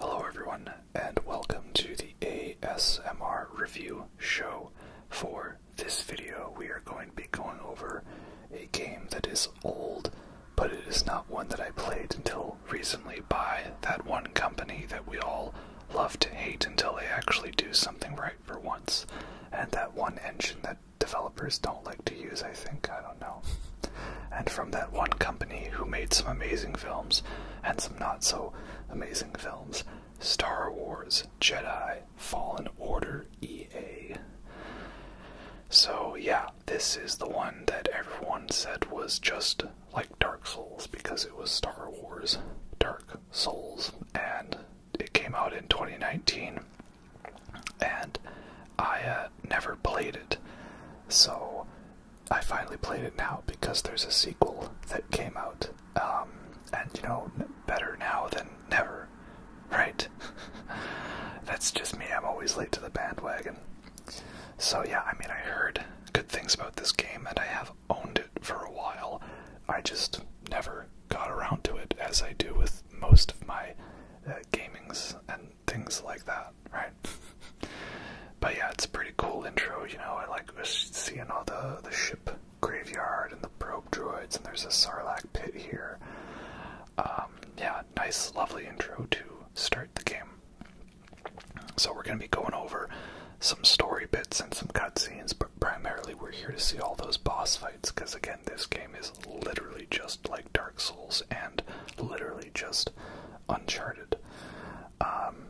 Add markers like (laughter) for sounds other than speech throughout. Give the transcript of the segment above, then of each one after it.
Hello, everyone, and welcome to the ASMR review show. For this video, we are going to be going over a game that is old but it is not one that I played until recently by that one company that we all love to hate until they actually do something right for once. And that one engine that developers don't like to use, I think. I don't know. And from that one company who made some amazing films and some not so amazing films Star Wars, Jedi, Fallen Order, EA. So, yeah, this is the one that everyone said was just like Dark Souls because it was Star Wars Dark Souls, and it came out in 2019. And I uh, never played it, so I finally played it now because there's a sequel that came out. Um, and you know, better now than never, right? (laughs) That's just me, I'm always late to the bandwagon. So yeah, I mean, I heard good things about this game, and I have owned it for a while. I just never got around to it, as I do with most of my uh, gamings and things like that, right? (laughs) but yeah, it's a pretty cool intro. You know, I like seeing all the the ship graveyard and the probe droids, and there's a Sarlacc pit here. Um, yeah, nice, lovely intro to start the game. So, we're going to be going over some story bits and some cutscenes, but primarily we're here to see all those boss fights because, again, this game is literally just like Dark Souls and literally just Uncharted. Um,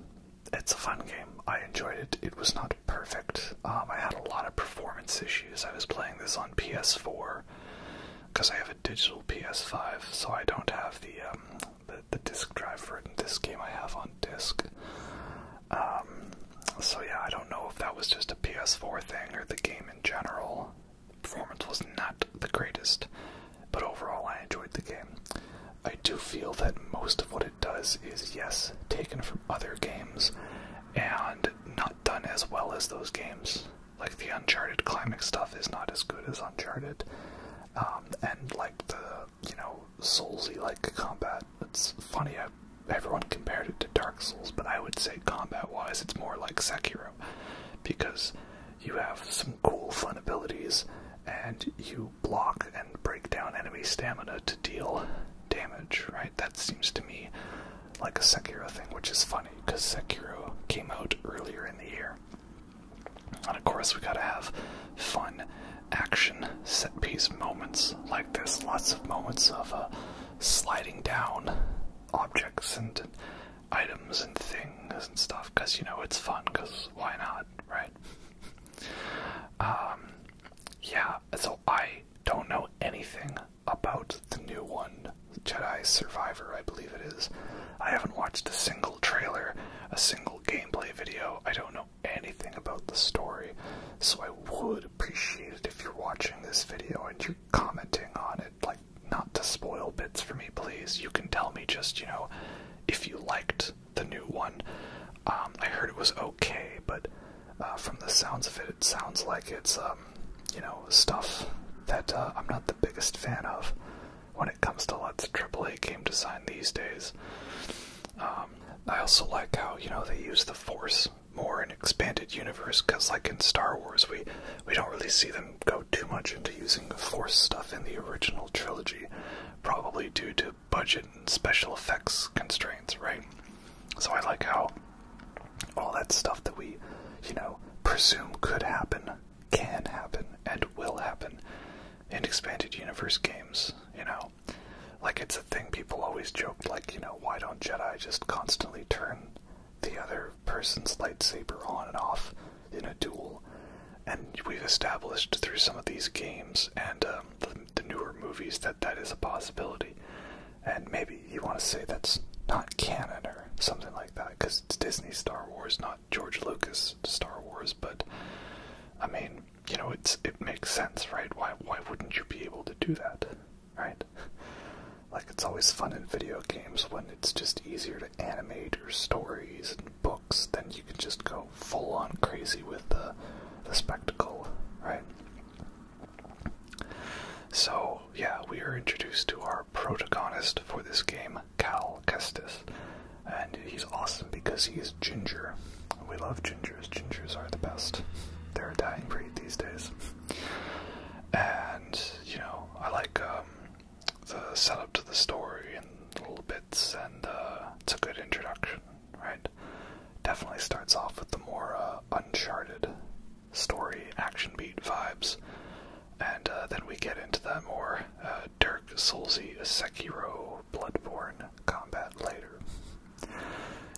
it's a fun game. I enjoyed it. It was not perfect. Um, I had a lot of performance issues. I was playing this on PS4 because I have a digital PS5, so I don't have the um, the, the disk drive for disc game I have on disk. Um, so yeah, I don't know if that was just a PS4 thing or the game in general. Performance was not the greatest, but overall I enjoyed the game. I do feel that most of what it does is, yes, taken from other games and not done as well as those games. Like the Uncharted climax stuff is not as good as Uncharted. Um, and like the you know soulsy like combat. It's funny everyone compared it to Dark Souls, but I would say combat wise it's more like Sekiro because you have some cool fun abilities and you block and break down enemy stamina to deal damage. Right? That seems to me like a Sekiro thing, which is funny because Sekiro came out earlier in the year. And of course, we gotta have fun action set piece moments like this. Lots of moments of uh, sliding down objects and items and things and stuff because you know it's fun, because why not, right? (laughs) um, yeah, so I don't know anything about the new one, Jedi Survivor, I believe it is. I haven't watched a single trailer, a single gameplay video. I don't know anything about the story. So I would appreciate it if you're watching this video and you're commenting on it. Like, not to spoil bits for me, please. You can tell me just, you know, if you liked the new one. Um, I heard it was okay, but uh, from the sounds of it, it sounds like it's, um, you know, stuff that uh, I'm not the biggest fan of when it comes to let's AAA game design these days. Um, I also like how you know they use the Force more in expanded universe because, like in Star Wars, we we don't really see them go too much into using the Force stuff in the original trilogy, probably due to budget and special effects constraints, right? So I like how all that stuff that we, you know, presume could happen can happen and will happen in expanded universe games, you know. Like it's a thing people always joke, like, you know, why don't Jedi just constantly turn the other person's lightsaber on and off in a duel? And we've established through some of these games and um, the newer movies that that is a possibility. And maybe you want to say that's not canon or something like that because it's Disney Star Wars, not George Lucas Star Wars, but I mean, you know, it's it makes sense, right? Why why wouldn't you be able to do that, right? Like it's always fun in video games when it's just easier to animate your stories and books, then you can just go full on crazy with the the spectacle, right? So yeah, we are introduced to our protagonist for this game, Cal Kestis. And he's awesome because he is ginger. We love gingers. Gingers are the best. They're a dying breed these days. And, you know, I like um, the setup to the story and little bits, and uh, it's a good introduction, right? Definitely starts off with the more uh, uncharted story action beat vibes. And uh, then we get into the more uh, Dirk Soulsy Sekiro Bloodborne combat later.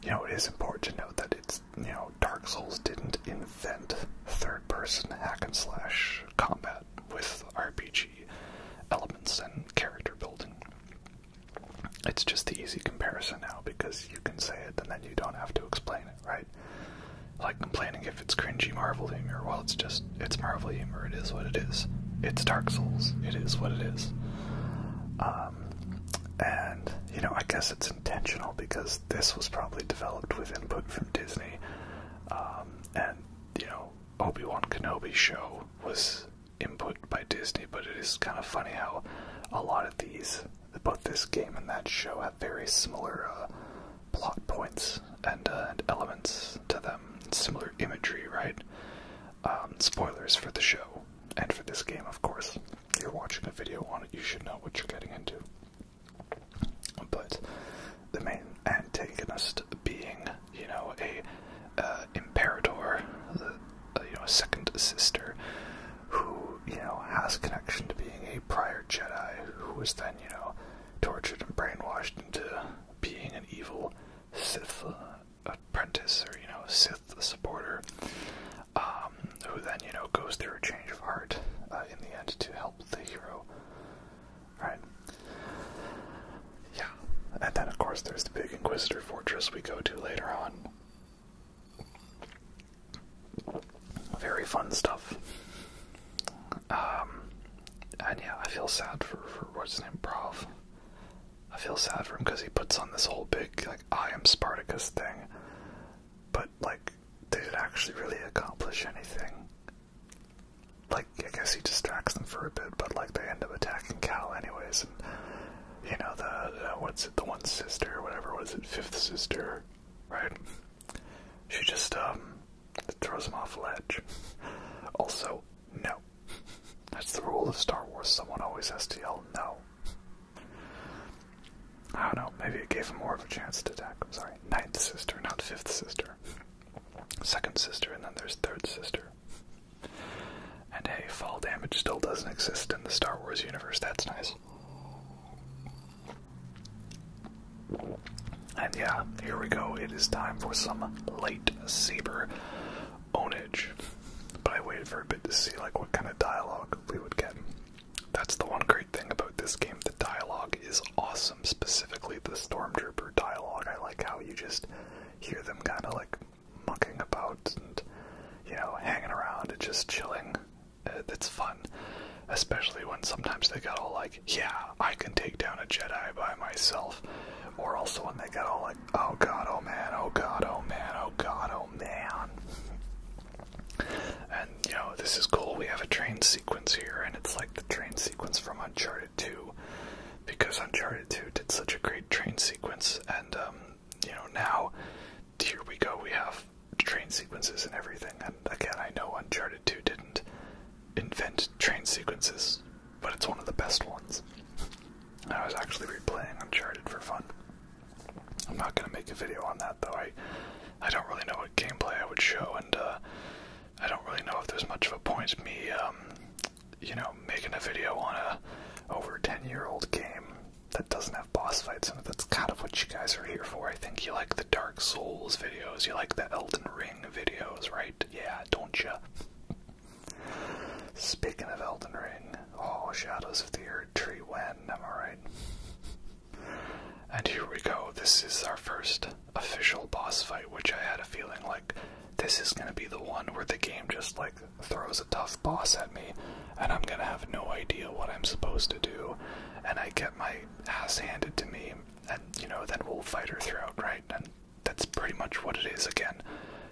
You know, it is important to note that it's, you know, Dark Souls didn't invent third person hack and slash combat with RPG elements and character building. It's just the easy comparison now because you can say it and then you don't have to explain it, right? Like complaining if if it's cringy Marvel humor, well, it's just, it's Marvel humor. It is what it is. It's Dark Souls. It is what it is. Um, and, you know, I guess it's intentional because this was probably developed with input from Disney. Um, and, you know, Obi Wan Kenobi show was input by Disney, but it is kind of funny how a lot of these, both this game and that show, have very similar uh, plot points and, uh, and elements to them, similar imagery, right? Um, spoilers for the show and for this game, of course. You're watching a video on it, you should know what you're getting into. But the main antagonist being, you know, a uh, imperator, uh, you know, a second sister, who you know has connection to being a prior Jedi, who was then you know tortured and brainwashed into being an evil Sith apprentice or you know Sith supporter, um, who then you know goes through a change of heart uh, in the end to help the hero. Right? Yeah, and then of course there's the big Inquisitor fortress we go to later on. Very fun stuff. Um, and yeah, I feel sad for, for what's his name, Prov. I feel sad for him because he puts on this whole big, like, I am Spartacus thing. But, like, did it actually really accomplish anything? Like, I guess he distracts them for a bit, but, like, they end up attacking Cal anyways. And, you know, the, what's it, the one sister, whatever, what is it, fifth sister, right? She just, um, that throws him off a ledge. Also, no. That's the rule of Star Wars, someone always has to yell no. I don't know, maybe it gave him more of a chance to attack. I'm sorry, ninth sister, not fifth sister. Second sister, and then there's third sister. And hey, fall damage still doesn't exist in the Star Wars universe, that's nice. And yeah, here we go. It is time for some light saber onage. But I waited for a bit to see like what kind of dialogue we would get. That's the one great thing about this game. The dialogue is awesome, specifically the stormtrooper dialogue. I like how you just hear them kind of like mucking about and you know hanging around and just chilling. Uh, it's fun, especially when sometimes they got all like yeah, I can take down a Jedi by myself. Or also when they got all like, oh god, oh man, oh god, oh man, oh god, oh man. And you know, this is cool. We have a train sequence here, and it's like the train sequence from Uncharted 2, because Uncharted 2 did such a great train sequence. And um, you know, now here we go. We have train sequences and everything. And again, I know Uncharted 2 didn't invent train sequences but it's one of the best ones. I was actually replaying Uncharted for fun. I'm not gonna make a video on that though. I I don't really know what gameplay I would show, and uh, I don't really know if there's much of a point me, um, you know, making a video on a over 10 year old game that doesn't have boss fights in it. That's kind of what you guys are here for. I think you like the Dark Souls videos, you like the Elden Ring videos, right? Yeah, don't you? Speaking of Elden Ring, oh, Shadows of the Earth Tree when, am I right? And here we go, this is our first official boss fight, which I had a feeling like this is gonna be the one where the game just like throws a tough boss at me, and I'm gonna have no idea what I'm supposed to do, and I get my ass handed to me, and you know, then we'll fight her throughout, right? that's pretty much what it is again.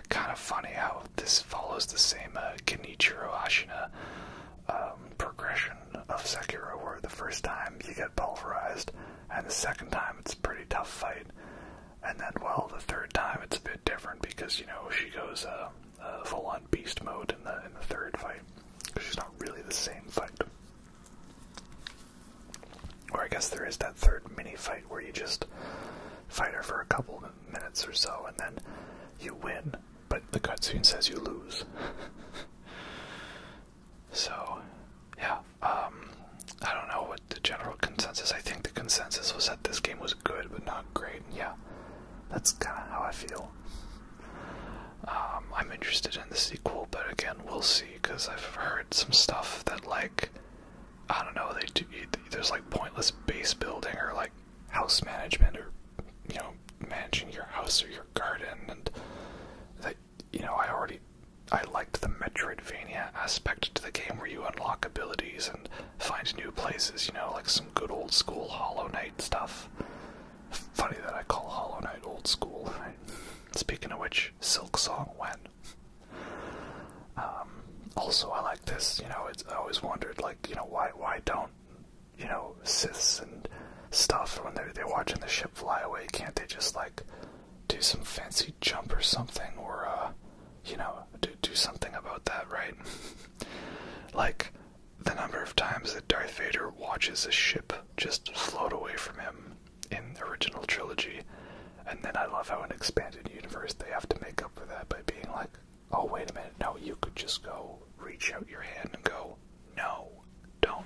Kind of funny how this follows the same uh, Kenichiro Ashina um, progression of Sekiro, where the first time you get pulverized, and the second time it's a pretty tough fight, and then, well, the third time it's a bit different because, you know, she goes uh, uh full on beast mode in the, in the third fight. She's not really the same fight. Or I guess there is that third mini fight where you just fight her for a couple minutes or so and then you win, but the cutscene says you lose. (laughs) so, yeah, um, I don't know what the general consensus. I think the consensus was that this game was good but not great. Yeah, that's kind of how I feel. Um, I'm interested in the sequel, but again, we'll see because I've heard some stuff that like I don't know. there's like pointless base building or like house management or you know managing your house or your garden and that you know I already I liked the Metroidvania aspect to the game where you unlock abilities and find new places. You know, like some good old school Hollow Knight stuff. Funny that I call Hollow Knight old school. Speaking of which, Silk Song went um, also, I like this. You know, I always wondered, like, you know, why why don't you know Siths and stuff when they're they're watching the ship fly away? Can't they just like do some fancy jump or something, or uh, you know, do do something about that, right? (laughs) like the number of times that Darth Vader watches a ship just float away from him in the original trilogy, and then I love how in expanded universe they have to make up for that by being like, oh wait a minute, no, you could just go reach out your hand and go, no, don't.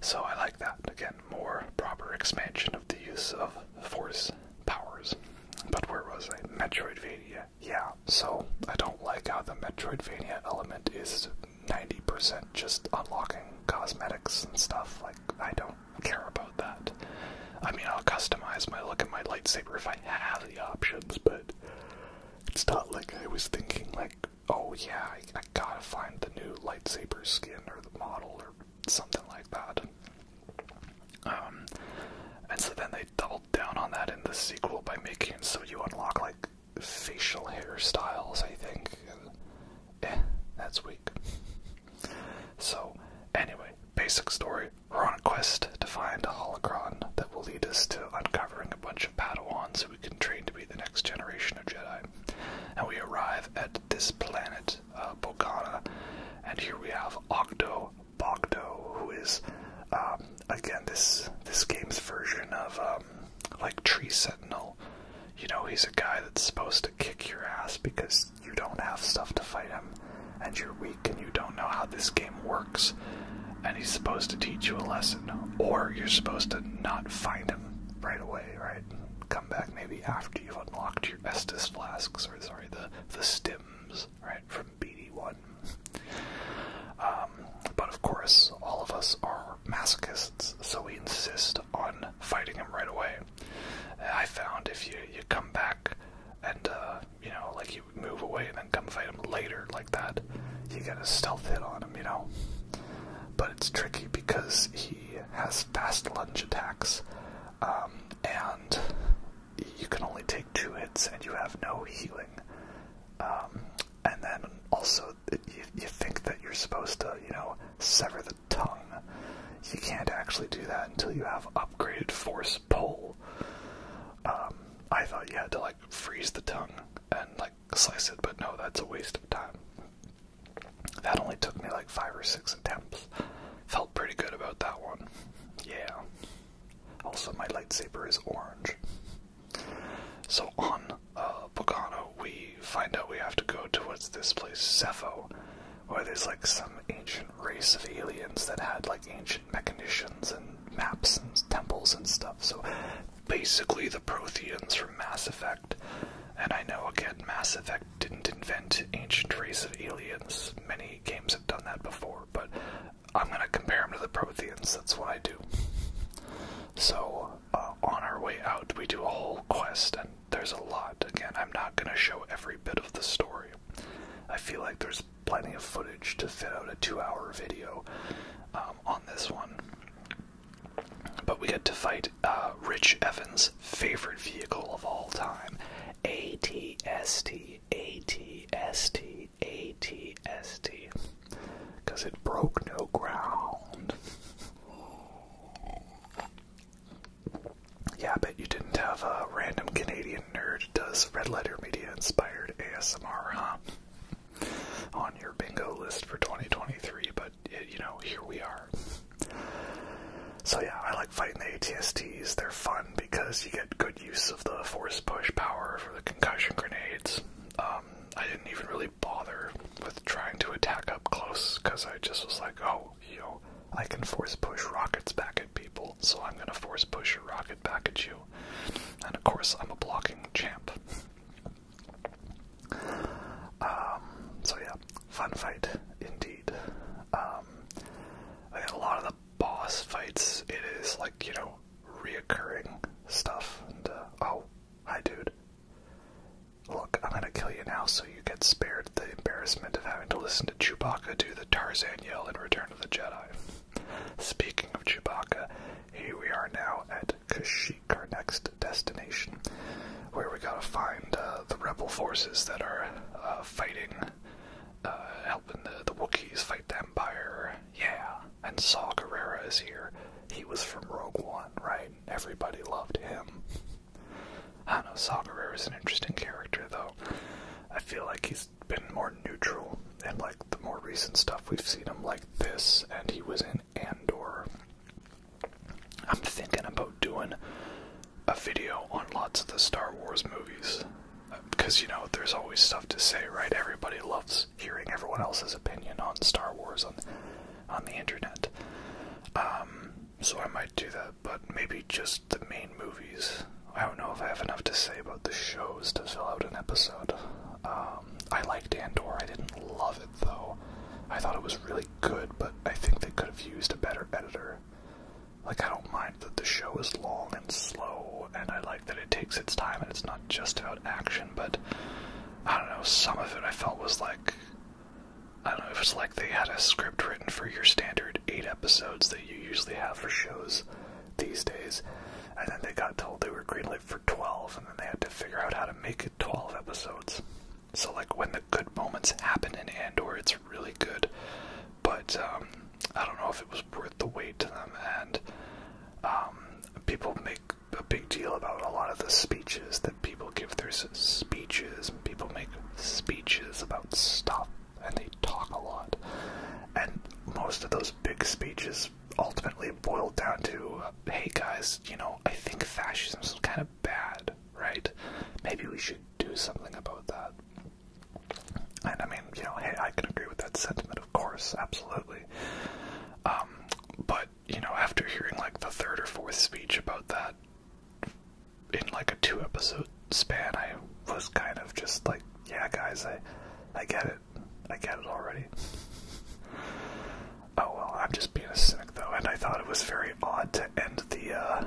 So I like that. Again, more proper expansion of the use of force powers. But where was I? Metroidvania. Yeah, so I don't like how the Metroidvania element is 90% just unlocking cosmetics and stuff. Like, I don't care about that. I mean, I'll customize my look at my lightsaber if I have the options, but it's not like I was thinking like, oh yeah, I, gotta find the new lightsaber skin or the model or something like that. Um, and so then they doubled down on that in the sequel by making so you unlock like facial hairstyles, I think. And, eh, that's so, anyway, basic story. We're on a quest to find a holocron that will lead us to uncovering a bunch of Padawans who we can train to be the next generation of Jedi. And we arrive at this planet, uh, Bogana, and here we have Octo Bogdo, who is, um, again, this this game's version of um, like Tree Sentinel you know, he's a guy that's supposed to kick your ass because you don't have stuff to fight him, and you're weak and you don't know how this game works, and he's supposed to teach you a lesson, or you're supposed to not find him right away, right? Come back maybe after you've unlocked your Estus flasks, or sorry, the, the stems, right, from BD1. (laughs) Um, but of course, all of us are masochists so we insist on fighting him right away. I found if you you come back and uh, you know like you move away and then come fight him later like that, you get a stealth hit on him, you know. But it's tricky because he has fast lunge attacks, um, and you can only take two hits and you have no healing. Um, and then also you, you think that you're supposed to you know sever the tongue. You can't actually do that until you have upgraded force pull. Um, I thought you had to like freeze the tongue and like slice it, but no, that's a waste of time. That only took me like five or six attempts. Felt pretty good about that one. Yeah. Also, my lightsaber is orange. So on uh, Bogano, we find out we have to go towards this place, Cepho, where there's like some ancient race of aliens that had like ancient mechanicians and maps and temples and stuff. So basically the Protheans from Mass Effect. And I know again, Mass Effect didn't invent ancient race of aliens. Many games have done that before, but I'm gonna compare them to the Protheans. That's what I do. So uh, on our way out, we do a whole quest and there's a lot. Again, I'm not going to show every bit of the story. I feel like there's plenty of footage to fit out a two hour video um, on this one. But we get to fight uh, Rich Evans' favorite vehicle of all time ATST, ATST, ATST. Because it broke no ground. Yeah, I bet you didn't have a random Canadian nerd does red letter media inspired ASMR, huh? (laughs) On your bingo list for 2023, but you know, here we are. So, yeah, I like fighting the ATSTs. They're fun because you get good use of the force push power for the concussion grenades. Um, I didn't even really bother with trying to attack up close because I just was like, oh, yo, I can force push rockets back at people, so I'm gonna force push a rocket back at you. And of course, I'm a blocking champ. um, so yeah, fun fight indeed. Um, a lot of the boss fights, it is like, you know, reoccurring stuff. Uh, oh, hi dude, Look, I'm gonna kill you now so you get spared the embarrassment of having to listen to Chewbacca do the Tarzan yell in Return of the Jedi. Speaking of Chewbacca, here we are now at Kashyyyk, our next destination, where we gotta find uh, the rebel forces that are uh, fighting, uh, helping the, the Wookiees fight the Empire. Yeah, and Saw Gerrera is here. He was from Rogue One, right? Everybody loved him. I know, Sagarer is an interesting character, though. I feel like he's been more neutral and like, the more recent stuff. We've seen him like this, and he was in Andor. I'm thinking about doing a video on lots of the Star Wars movies. Because, you know, there's always stuff to say, right? Everybody loves hearing everyone else's opinion on Star Wars on, on the internet. Um, so I might do that but maybe just the main movies. I don't know if I have enough to say about the shows to fill out an episode. Um, I liked Andor. I didn't love it though. I thought it was really good, but I think they could have used a better editor. Like, I don't mind that the show is long and slow, and I like that it takes its time and it's not just about action, but I don't know, some of it I felt was like I don't know if it's like they had a script written for your standard eight episodes that you usually have for shows these days, and then they got told they were greenlit for 12, and then they had to figure out how to make it 12 episodes. So, like, when the good moments happen in Andor, it's really good, but um, I don't know if it was worth the wait to them, and um, people make a big deal about a lot of the speeches people give their speeches, people make speeches about stuff, and they talk a lot. And most of those big speeches ultimately boil down to hey guys, you know, I think fascism's kind of bad, right? Maybe we should do something about that. And I mean, you know, hey, I can agree with that sentiment, of course, absolutely. Um, but, you know, after hearing like the third or fourth speech about that, in like a two episode span, I was kind of just like, yeah, guys, I, I get it, I get it already. (laughs) oh well, I'm just being a cynic though, and I thought it was very odd to end the uh,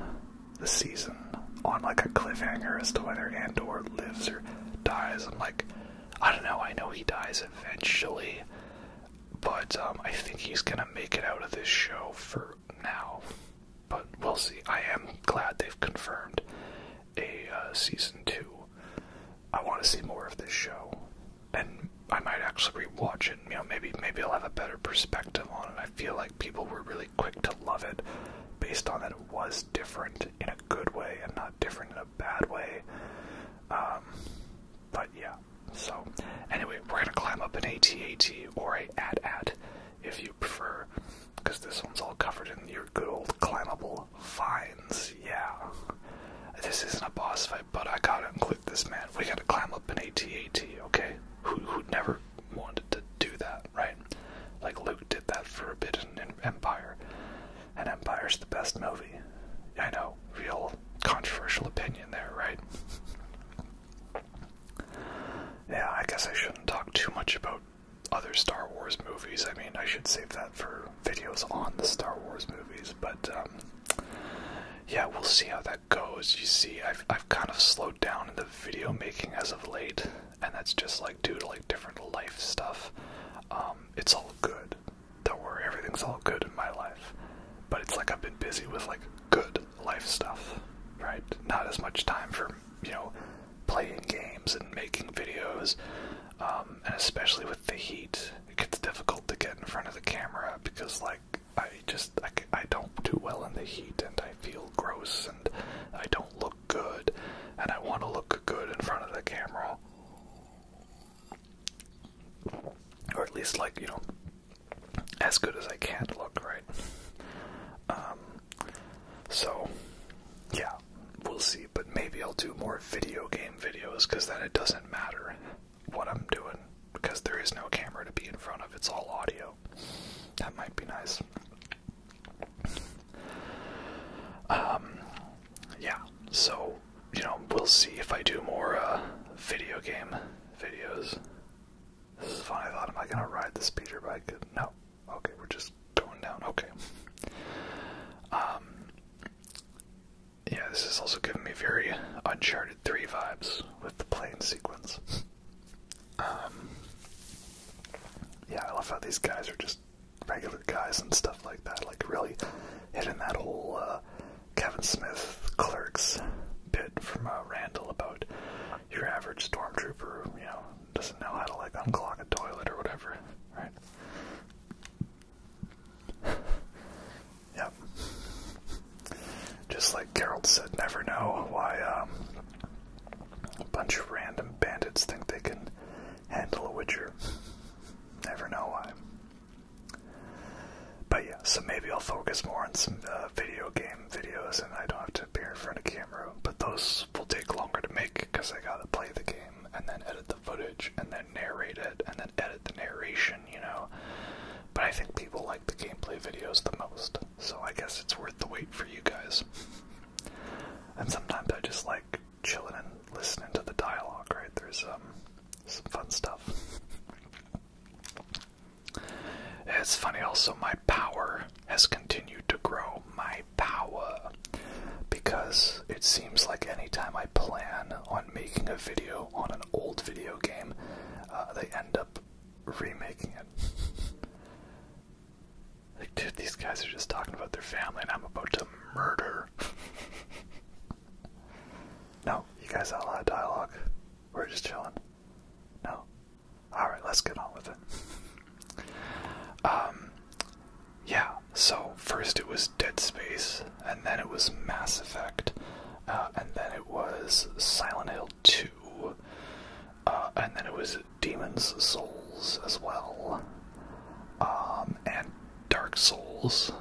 the season on like a cliffhanger as to whether Andor lives or dies. I'm like, I don't know. I know he dies eventually, but um, I think he's gonna make it out of this show for now, but we'll see. I am glad they've confirmed a uh, season two. I want to see more of this show, and I might actually rewatch it. You know, maybe maybe I'll have a better perspective on it. I feel like people were really quick to love it, based on that it was different in a good way and not different in a bad way. Um, but yeah, so, anyway, we're gonna climb up an AT-AT or a AT-AT if you prefer, because this one's all covered in your good old climbable vines. Yeah, this isn't a boss fight, but I gotta include this man. We gotta climb up an AT-AT, okay? Who who never wanted to do that, right? Like Luke did that for a bit in Empire, and Empire's the best movie. I know, real controversial opinion there, right? Yeah, I guess I shouldn't talk too much about other Star Wars movies. I mean, I should save that for videos on the Star Wars movies, but um, yeah, we'll see how that goes. You see, I've, I've kind of slowed down in the video making as of late, and that's just like due to like different life stuff. Um, it's all good. Don't worry, everything's all good in my life. But it's like I've been busy with like good life stuff, right? Not as much time for, you know, playing games and making videos, um, and especially with the heat, it gets difficult to get in front of the camera because, like, I just I, I don't do well in the heat, and I feel gross, and I don't look good, and I want to look good in front of the camera, or at least like you know, as good as I can look, right? Um, so, yeah, we'll see. But maybe I'll do more video game videos because then it doesn't matter what I'm doing because there is no camera to be in front of, it's all audio. That might be nice. Um, yeah, so, you know, we'll see if I do more uh, video game videos. This is fun. I thought, am I gonna ride the speeder bike? No. Okay, we're just going down. Okay. Um. Yeah, this is also giving me very Uncharted 3 vibes with the plane sequence. Um. Yeah, I love how these guys are just regular guys and stuff like that. Like really hitting that whole uh, Kevin Smith clerks bit from uh, Randall about your average stormtrooper, you know, doesn't know how to like unclog a toilet or whatever, right? (laughs) yep. Just like Carol said, never know why um, a bunch of random bandits think they can handle a Witcher. Never know why. But yeah, so maybe I'll focus more on some uh, video games videos and I don't have to appear in front of camera, but those will take longer to make because I gotta play the game and then edit the footage and then narrate it and then edit the narration, you know. But I think people like the gameplay videos the most, so I guess it's worth the wait for you guys. and sometimes I just like chilling and listening to the dialogue, right? There's um, some fun stuff. It's funny also, my power has continued to grow. My power. Because it seems like anytime I plan on making a video on an old video game, uh, they end up remaking it. (laughs) like, dude, these guys are just talking about their family and I'm about to murder. (laughs) no, you guys have a lot of dialogue. We're just chilling. No. All right, let's get on with it. (laughs) Um, yeah. So first it was Dead Space, and then it was Mass Effect, uh, and then it was Silent Hill Two, uh, and then it was Demon's Souls as well, um, and Dark Souls.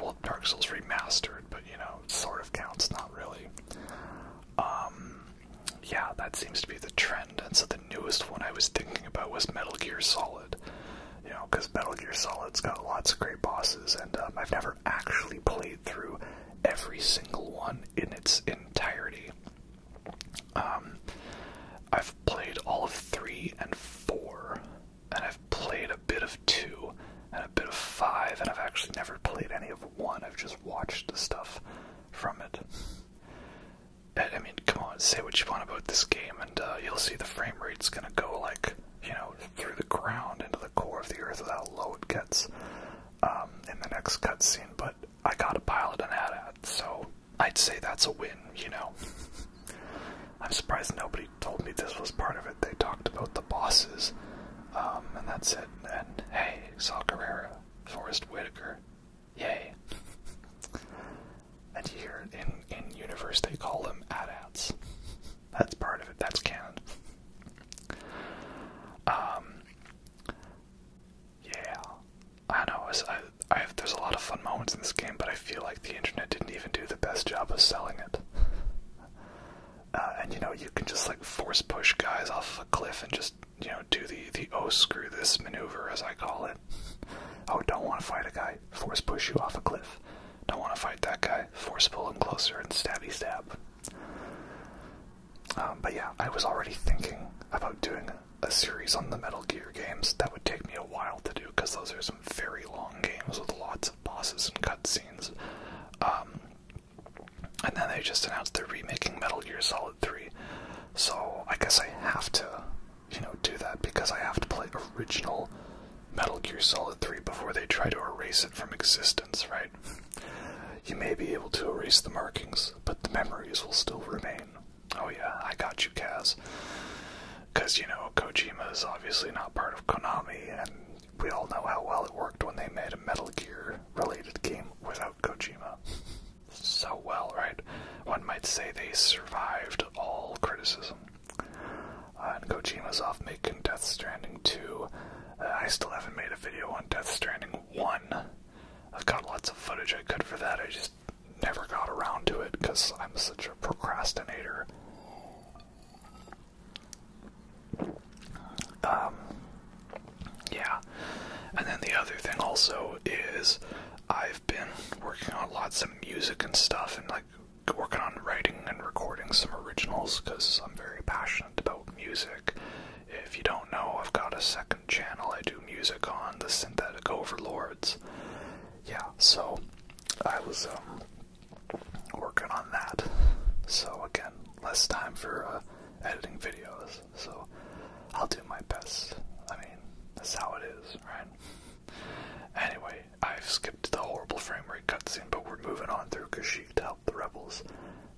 well, Dark Souls remastered, but you know, sort of counts, not really. Um, yeah, that seems to be the trend. And so the newest one I was thinking about was Metal Gear Solid. You know, because Metal Gear Solid's got lots of great bosses, and um, I've never actually played through every single one in its entirety. Um, I've played all of three and four, and I've played a bit of two and a bit of five, and I've actually never played any of one. I've just watch the stuff from it. I mean, come on, say what you want about this game, and uh, you'll see the frame rate's gonna go like, you know, through the ground into the core of the earth how low it gets um, in the next cutscene. But I got a pilot and ad at, so I'd say that's a win, you know. (laughs) I'm surprised nobody told me this was part of it. They talked about the bosses, um, and that's it. And hey, Sal Guerrero, Forrest Whitaker. Yay. and here in, in universe they call them AT-ATs. That's part of it, that's canon. Um, yeah, I know. there's a lot of fun moments in this game, but I feel like the internet didn't even do the best job of selling it. Uh, and you know you can just like force push guys off a cliff and just you know do the the oh screw this maneuver as I call it. oh don't want to fight a guy, force push you off a cliff. Don't want to fight that guy, force pull him closer and stabby stab. Um, but yeah, I was already thinking about doing a series on the Metal Gear games. That would take me a while to do because those are some very long games with lots of bosses and cutscenes. Um, and then they just announced they're remaking Metal Gear Solid 3. So I guess I have to, you know, do that because I have to play original Metal Gear Solid 3 before they try to erase it from existence, right? (laughs) You may be able to erase the markings, but the memories will still remain. Oh yeah, I got you, Kaz. Because, you know, Kojima is obviously not part of Konami, and we all know how well it worked when they made a Metal Gear related game without Kojima. so well, right? One might say they survived all criticism. Uh, and Kojima's off making Death Stranding 2. Uh, I still haven't made a video on Death Stranding 1. I've got lots of footage I could for that, I just never got around to it because I'm such a procrastinator. Um, yeah. And then the other thing also is I've been working on lots of music and stuff and like working on writing and recording some originals because I'm very passionate about music. If you don't know, I've got a second channel I do music on, the Synthetic Overlords. Yeah, so I was um, working on that. So again, less time for uh, editing videos. So I'll do my best. I mean, that's how it is, right? Anyway, I've skipped the horrible frame rate cutscene, but we're moving on through Kashyyyk to help the rebels.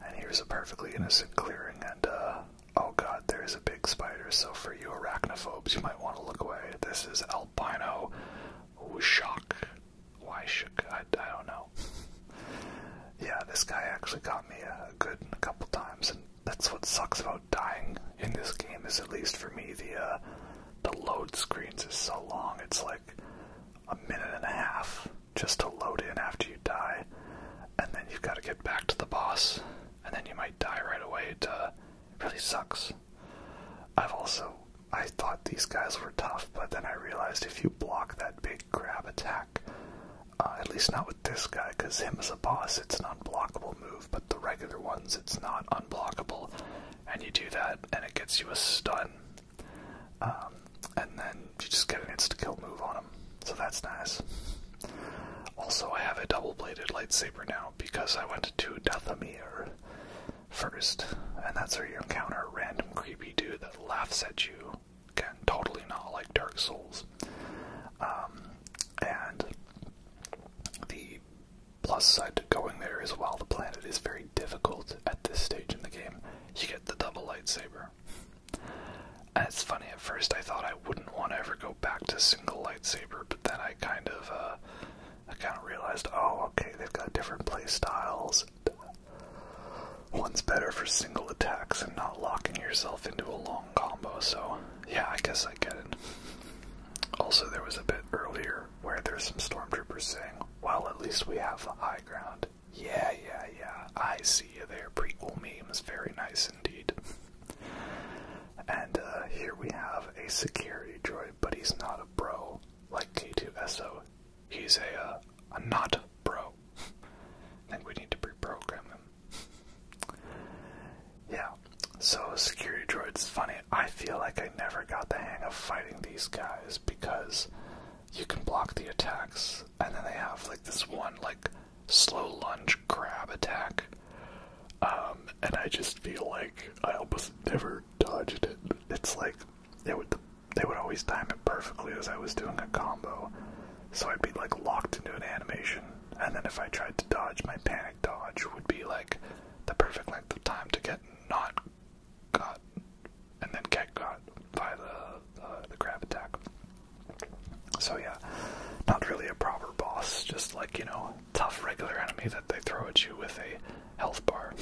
And here's a perfectly innocent clearing, and uh, oh god, there is a big spider, so for you arachnophobes, you might want to look away. This is Albino Wishok. Why shook? I, I don't know. (laughs) yeah, this guy actually got me a good a couple times, and that's what sucks about dying in this game. Is at least for me the uh, the load screens is so long. It's like a minute and a half just to load in after you die, and then you've got to get back to the boss, and then you might die right away. It uh, really sucks. I've also I thought these guys were tough, but then I realized if you block that big grab attack, uh, at least not with this guy, because him as a boss, it's an unblockable move, but the regular ones, it's not unblockable. And you do that, and it gets you a stun. Um, and then you just get an insta kill move on him. So that's nice. Also, I have a double bladed lightsaber now because I went to Dathomir first, and that's where you encounter a random creepy dude that laughs at you Again, totally not like Dark Souls. Um, and the plus side to going there is while the planet is very difficult at this stage in the game, you get the double lightsaber. And it's funny, at first I thought I wouldn't want to ever go back to single lightsaber, but then I kind of, uh, I kind of realized, oh, okay, they've got different play styles. One's better for single attacks and not locking yourself into a long combo, so yeah, I guess I get it. Also, there was a bit earlier where there's some stormtroopers saying, Well, at least we have the high ground. Yeah, yeah, yeah, I see you there. Prequel memes, very nice indeed. and uh, here we have a security droid, but he's not a bro like K2SO. He's a, uh, a not bro. I (laughs) think we need to reprogram him. yeah, so security droids, funny. I feel like I never got the hang of fighting these guys because you can block the attacks, and then they have like this one like slow lunge grab attack. Um, and I just feel like I almost never dodged it. It's like they would they would always time it perfectly as I was doing a combo, so I'd be like locked into an animation, and then if I tried to dodge, my panic dodge would be like the perfect length of time to get not got, and then get got by the the grab attack. So yeah, not really a proper boss, just like you know, tough regular enemy that they throw at you with a health bar.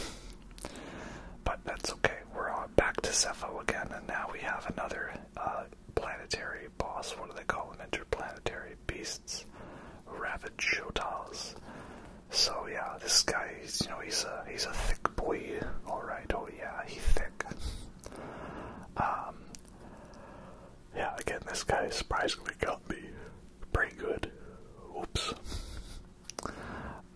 But that's okay. We're back to Cepho again, and now we have another uh, planetary boss, what do they call them? Interplanetary beasts, rabid Jotas. So yeah, this guy, you know, he's a he's a thick boy. All right, oh yeah, he's thick. Um, yeah, again, this guy surprisingly got me pretty good. Oops.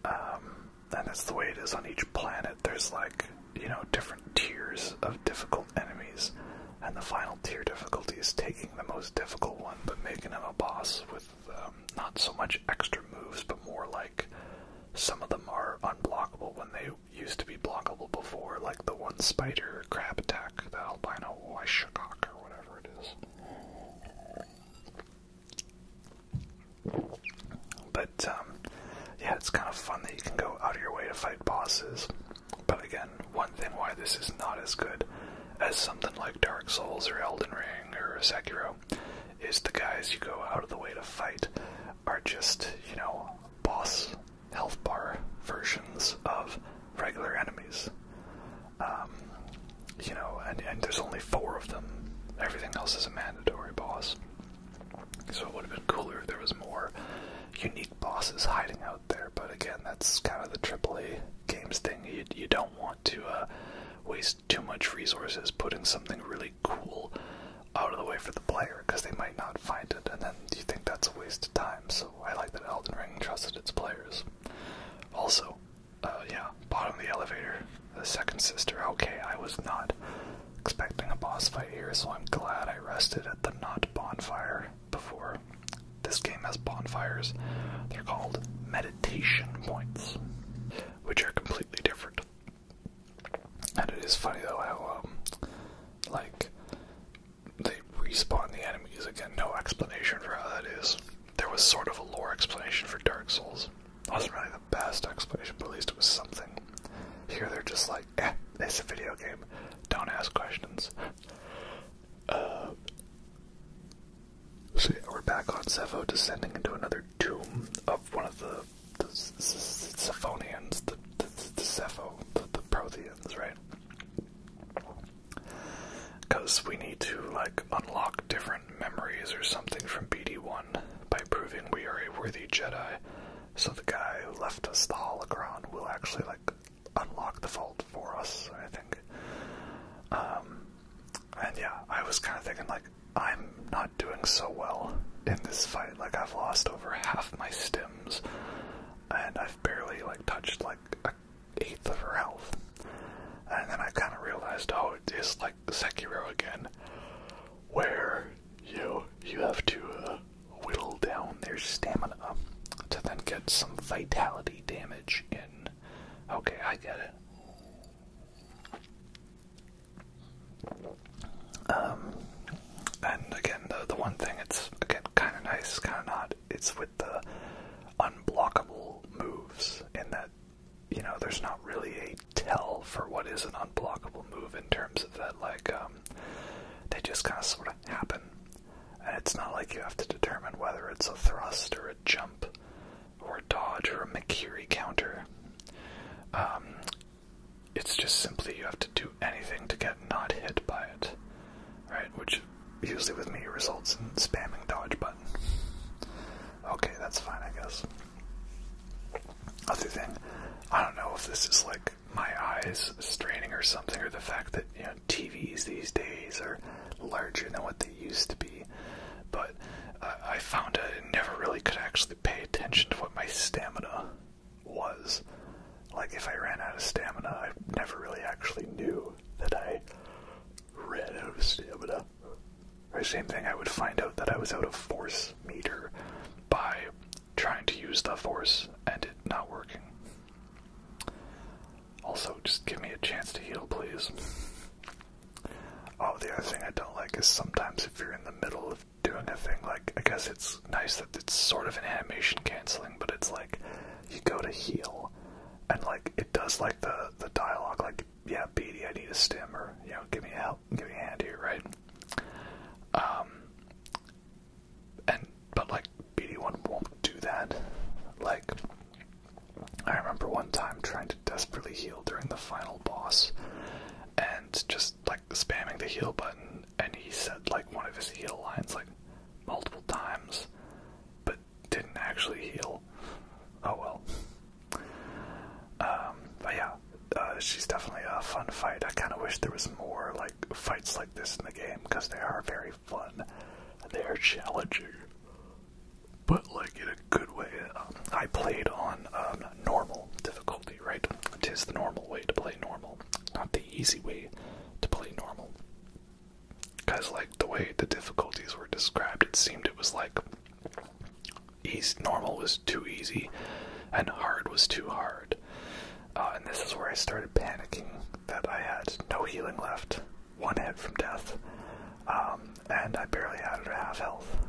Um, and that's the way it is on each planet. There's like you know, different tiers of difficult enemies, and the final tier difficulty is taking the most difficult one but making him a boss with um, not so much extra moves, but more like some of them are unblockable when they used to be blockable before, like the one spider crab attack, the albino Wyshakok or whatever it is. But um, yeah, it's kind of fun that you can go out of your way to fight bosses. But again, one thing why this is not as good as something like Dark Souls or Elden Ring or Sekiro is the guys you go out of the way to fight are just, you know, boss health bar versions of regular enemies. Um, you know, and, and there's only four of them. Everything else is a mandatory boss. So it would have been cooler if there was more unique bosses hiding out there. But again, that's kind of the AAA games thing. You, don't want to uh, waste too much resources putting something really cool out of the way for the player because they might not find it, and then you think that's a waste of time. So I like that Elden Ring trusted its players. Also, uh, yeah, bottom of the elevator, the second sister. Okay, I was not expecting a boss fight here, so I'm glad I rested at the not bonfire before. This game has bonfires. They're called meditation points, which are completely different. And it is funny though how, um, like, they respawn the enemies again. No explanation for how that is. There was sort of a lore explanation for Dark Souls. It wasn't really the best explanation, but at least it was something. Here they're just like, Eh, it's a video game. Don't ask questions. Uh, so yeah, we're back on Sepho, descending into another tomb of one of the Cephonians, the the, the the Protheans, right? Because we need to like unlock different memories or something from BD1 by proving we are a worthy Jedi. So the guy who left us the hologram will actually like unlock the vault for us, I think. Um, and yeah, I was kind of thinking like I'm not doing so well in this fight. Like I've lost over half my stems, and I've barely like touched like an eighth of her health. And then I kind of realized, oh, it is like Sekiro again, where you you have to uh, whittle down their stamina to then get some vitality damage in. Okay, I get it. Um, and again, the, the one thing it's again kind of nice, kind of not. It's with the unblockable moves, in that you know there's not really a tell for what is an unblockable move in terms of that like. Um, um, they just kind of sort of happen. And it's not like you have to determine whether it's a thrust or a jump or a dodge or a McCurry counter. Um, it's just simply you have to do anything to get not hit by it, right? Which usually with me results in spamming dodge button. Okay, that's fine, I guess. Other thing, I don't know if this is like my eyes straining or something, or the fact that you know TVs these days are larger than what they used to be. But uh, I found I never really could actually pay attention to what my stamina was. Like if I ran out of stamina, I never really actually knew that I ran out of stamina. Or same thing, I would find out that I was out of force meter by trying to use the force and it not working. Also, just give me a chance to heal, please. Oh, the other thing I don't like is sometimes if you're in the middle of doing a thing, like, I guess it's nice that it's sort of an animation canceling, but it's like, you go to heal, and like, it does like the, the dialogue, like, yeah, Beatty, I need a stim, or, you know, give me help, give me a hand here, right? Um, and but like BD1 won't do that. Like I remember one time trying to desperately heal during the final boss and just like spamming the heal button and he said like one of his heal lines like multiple times but didn't actually heal. Oh well. Um but yeah, uh, she's definitely a fun fight. I kind of wish there was more like fights like this in the game because they are very fun. They are challenging, but like in a good way. Um, I played on um, normal difficulty, right? It is the normal way to play normal, not the easy way to play normal. Because like the way the difficulties were described, it seemed it was like easy normal was too easy, and hard was too hard. Uh, and this is where I started panicking that I had no healing left, one hit from death, um, and I barely had half health.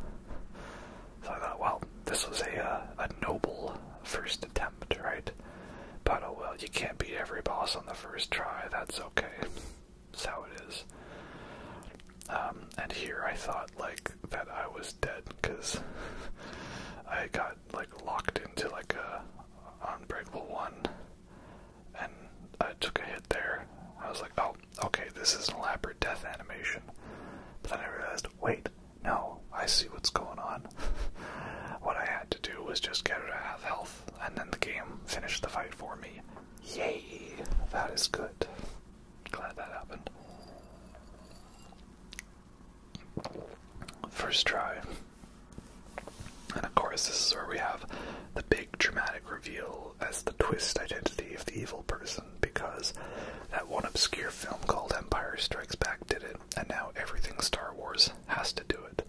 So I thought, well, this was a uh, a noble first attempt, right? But oh well, you can't beat every boss on the first try. That's okay. That's how it is. Um, and here I thought like that I was dead because (laughs) I got like locked into like a unbreakable one, and I took a hit there. I was like, oh, okay, this is an elaborate death animation. But then I realized, wait, no, I see what's going on. (laughs) what I had to do was just get her to have health, and then the game finished the fight for me. Yay! That is good. Glad that happened. First try. And of course, this is where we have the big dramatic reveal as the twist identity of the evil person because that one obscure film called Empire Strikes Back did it, and now everything Star Wars has to do it,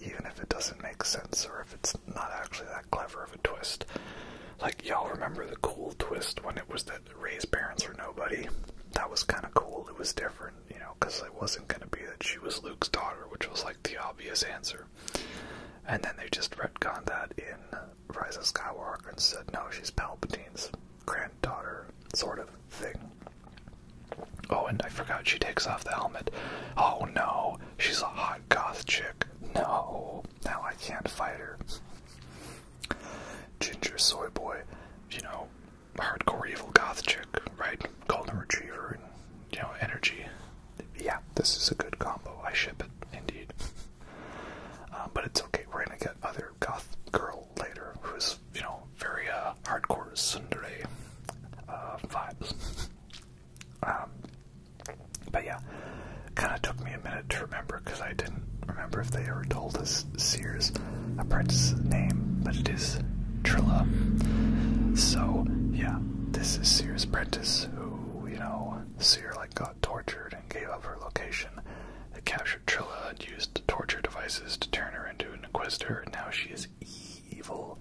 even if it doesn't make sense or if it's not actually that clever of a twist. Like, y'all remember the cool twist when it was that raise parents or nobody. That was kind of cool. It was different, you know, because it wasn't going to be that she was Luke's daughter, which was like the obvious answer. And then they just retconned that in Rise of Skywalker and said, no, she's Palpatine's granddaughter, sort of thing. Oh, and I forgot she takes off the helmet. Oh no, she's a hot goth chick. No, now I can't fight her. Ginger Soy Boy, you know, hardcore evil goth chick, right? Golden Retriever and, you know, energy. Yeah, this is a good combo. I ship it, indeed. Uh, but it's okay. We're gonna get other goth girl later who's, you know, very uh, hardcore tsundere uh, vibes. Um, but yeah, kind of took me a minute to remember because I didn't remember if they ever told us Sears, a apprentice's name, but it is Trilla. So yeah, this is Sears' apprentice who, you know, Sear like got tortured and gave up her location. They captured Trilla and used torture devices to turn her into an inquisitor, and now she is evil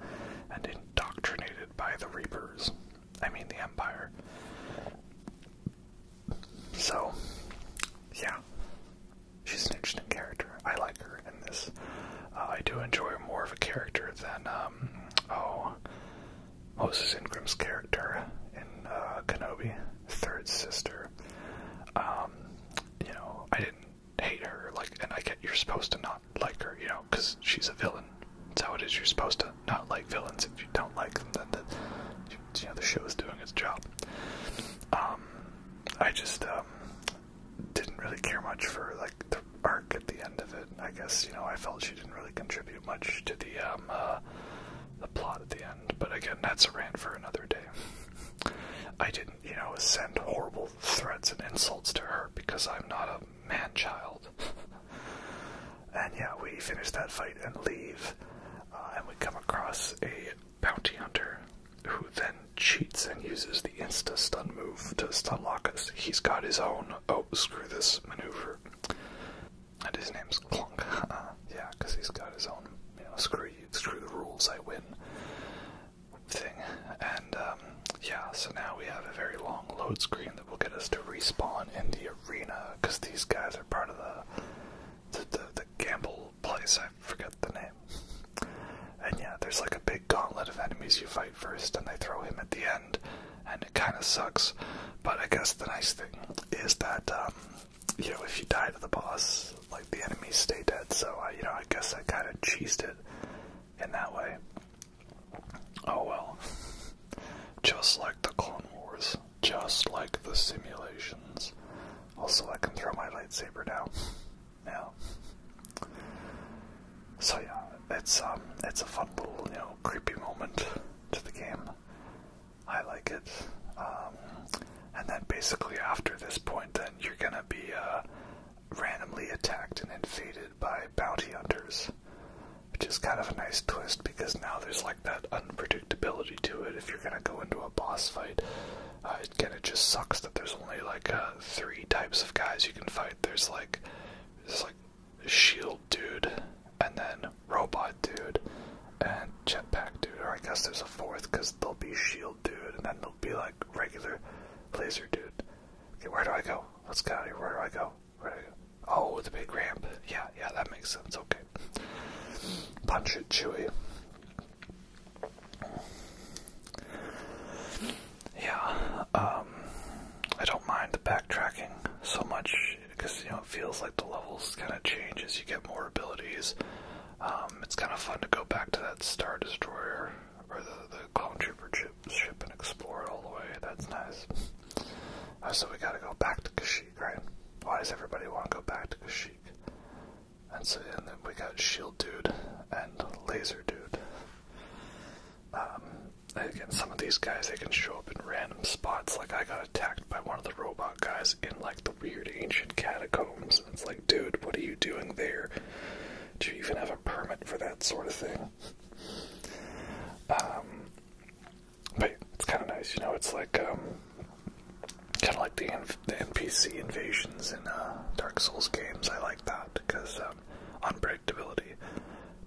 and indoctrinated by the Reapers. I mean the Empire. So yeah. She's an interesting character. I like her in this. Uh, I do enjoy her more of a character than um, oh Moses Ingram's character in uh, Kenobi, third sister. Um, you know, I didn't hate her. Like, and I get you're supposed to not like her, you know, because she's a villain. That's how it is. You're supposed to not like villains. If you don't like them, then the, you know the show is doing its job. Um, I just um, didn't really care much for like the arc at the end of it. I guess you know I felt she didn't really contribute much to the um, uh, the plot at the end. But again, that's a rant for another day. I didn't you know send horrible threats and insults to her because I'm not a man child. (laughs) and yeah, we finish that fight and leave, uh, and we come across a bounty hunter who then cheats and uses the insta stun move to stun lock us. He's got his own oh screw this maneuver. And his name's Clunk. (laughs) yeah, because he's got his own you know screw you, screw the rules I win thing. And um, yeah, so now we have a very long load screen that will get us to respawn in the arena because these guys are part of the, the, the gamble place, I forget the name. And yeah, there's like a big gauntlet of enemies you fight first, and they throw him at the end, and it kind of sucks. But I guess the nice thing is that, um, you know, if you die to the boss, like the enemies stay dead, so I, uh, you know, I guess I kind of cheesed it in that way. Oh well. Just like the Clone Wars, just like the simulations, also, I can throw my lightsaber now. Now. So yeah, it's um, it's a fun little, you know, creepy moment to the game. I like it. Um, and then basically after this point, then you're gonna be uh, randomly attacked and invaded by bounty hunters, which is kind of a nice twist because now there's like that unpredictability to it. If you're gonna go into a boss fight, again, uh, it just sucks that there's only like uh, three types of guys you can fight. There's like, there's like shield dude, and then robot dude, and jetpack dude. Or I guess there's a fourth because there'll be shield dude, and then there'll be like regular laser dude. Okay, where do I go? Let's get out here. Where do I go? Where do I go? Oh, the big ramp. Yeah, yeah, that makes sense. Okay. Punch it, Chewy. Yeah, um, I don't mind the backtracking so much because you know it feels like the levels kind of change as you get more abilities. Um, it's kind of fun to go back to that Star Destroyer or the the Clone Trooper ship, ship and explore it all the way. That's nice. Uh, so we gotta go back to Kashyyyk, right? Why does everybody want to go back to Kashyyyk? And so and then we got Shield Dude and Laser Dude. Um, again, some of these guys they can show up in random spots. Like I got attacked by one of the robot guys in like the weird ancient catacombs, and it's like, dude, what are you doing there? Do you even have a permit for that sort of thing? Um, but it's kind of nice, you know. It's like um, kind of like the, inv the NPC invasions in uh, Dark Souls games. I like that because um, unpredictability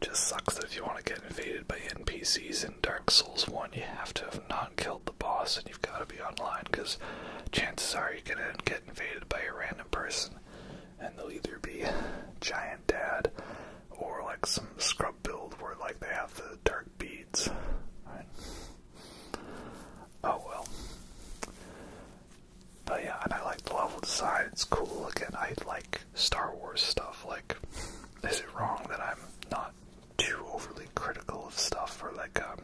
just sucks. That if you want to get invaded by NPCs in Dark Souls One, you have to have not killed the boss, and you've got to be online because chances are you're gonna get invaded by a random person, and they'll either be giant dad or like some scrub build where like they have the dark beads. Right? Oh well. But yeah, and I like the level design, it's cool. Again, I like Star Wars stuff. Like, is it wrong that I'm not too overly critical of stuff? Or like, um,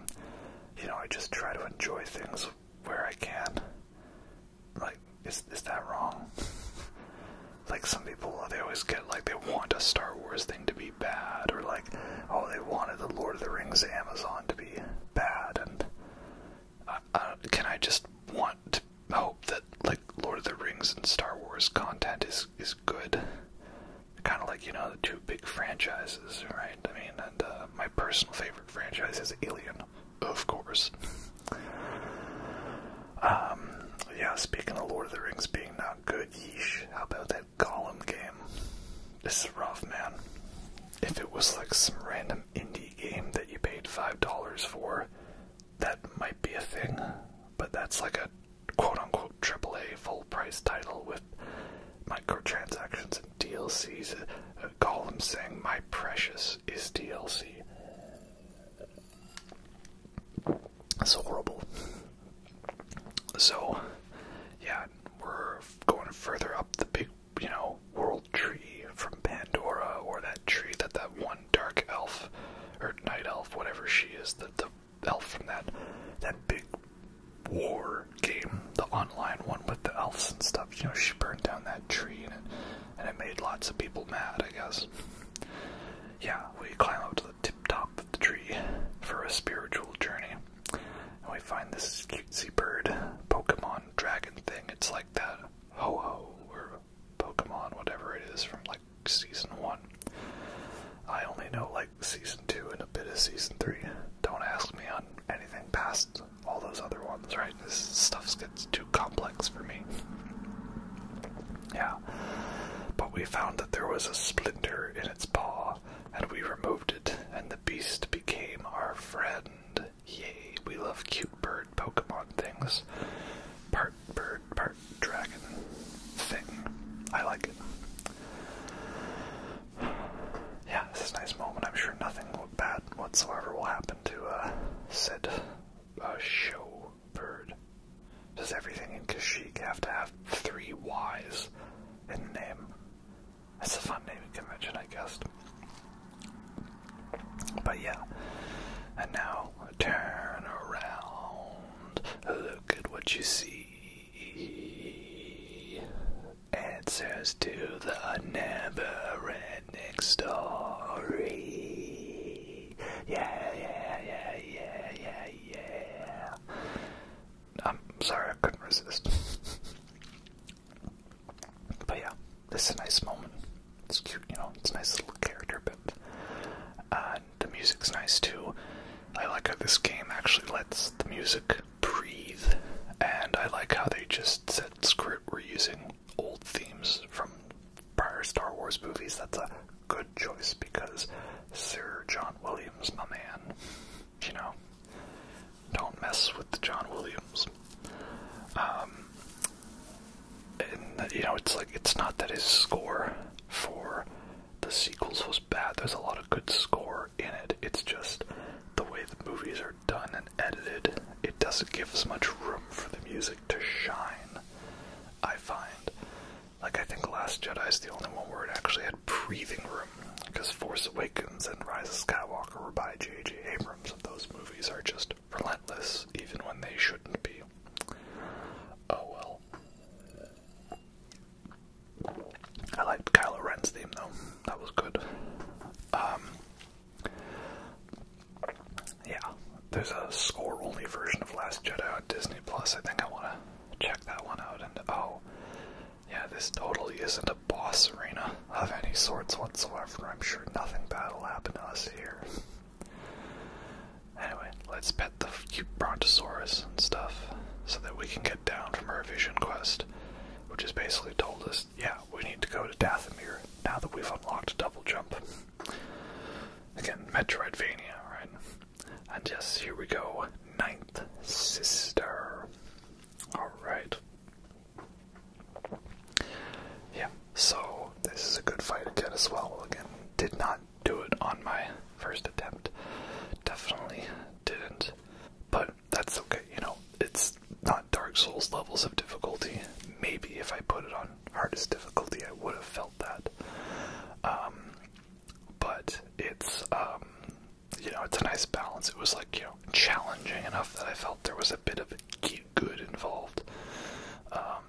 you know, I just try to enjoy things where I can. Like, is, is that wrong? (laughs) like some people, they always get like they want a Star Wars thing to be bad, or like, oh, they wanted the Lord of the Rings Amazon to be bad, and can I just want to hope that like Lord of the Rings and Star Wars content is is good? Kind of like you know the two big franchises, right? I mean, and uh, my personal favorite franchise is Alien, of course. um, yeah, speaking of Lord of the Rings being not good, yeesh. How about that that game. This is rough, man. If it was like some random indie game that you paid $5 for, that might be a thing, but that's like a quote unquote AAA full price title with microtransactions and DLCs. Uh, saying, My precious is DLC. That's horrible. So, yeah, we're going further up the big, you know, world tree from Pandora, or that tree that that one dark elf, or night elf, whatever she is, the the elf from that that big war game, the online one with the elves and stuff. You know, she burned down that tree, and and it made lots of people mad, I guess. Yeah, we climb up to the tip top of the tree for a spiritual journey. And we find this cutesy bird Pokemon dragon thing. It's like that Ho oh or Pokemon, whatever it is from like season one. I only know like season two and a bit of season three. Don't ask me on anything past all those other ones, right? This stuff gets too complex for me. Yeah. But we found that there was a splinter in its paw and we removed it, and the beast became our friend. Yay, we love cute bird Pokemon things. Part bird, part dragon thing. I like it. Yeah, this is a nice moment. I'm sure nothing bad whatsoever will happen to uh, Sid, a uh, show bird. Does everything in Kashyyyk have to have three Y's in the name? It's a fun naming convention, I guess. But yeah. And now turn around. Look at what you see. Answers to the never story. Yeah, yeah, yeah, yeah, yeah, yeah. I'm sorry, I couldn't resist. but yeah, this is a nice moment. It's cute, you know, it's a nice little character bit. Uh, the music's nice too. I like how this game actually lets the music breathe, and I like how they just said, script. we're using old themes from prior Star Wars movies. That's a good choice because Sir John Williams, my man, you know, don't mess with John Williams. Um, and you know, it's like it's not that his score for the sequels was bad. There's a lot of good score in it. It's just the way the movies are done and edited. It doesn't give as much room for the music to shine. I find, like I think Last Jedi is the only one where it actually had breathing room because Force Awakens and Rise of Skywalker were by J.J. Abrams, and those movies are just relentless, even when they shouldn't be. Oh well. I liked Kylo Ren's theme though; that was good. Um, yeah, there's a score-only version of Last Jedi on Disney Plus. I think I want to check that one out. And oh, yeah, this totally isn't a boss arena of any sorts whatsoever. I'm sure nothing bad will happen to us here. anyway, let's pet the cute brontosaurus and stuff so that we can get down from our vision quest, which has basically told us, yeah, we need to go to Dathomir now that we've unlocked double jump. Again, Metroidvania, right? And yes, here we go. Ninth sister. Alright. Yeah, so this is a good fight again as well. Again, did not do it on my first attempt. Definitely didn't. But that's okay, you know, it's not Dark Souls levels of difficulty. Maybe if I put it on hardest difficulty, I would have felt that. Um, but it's um, you know, it's a nice balance. It was like, you know, challenging enough that I felt there was a bit of good involved. Um,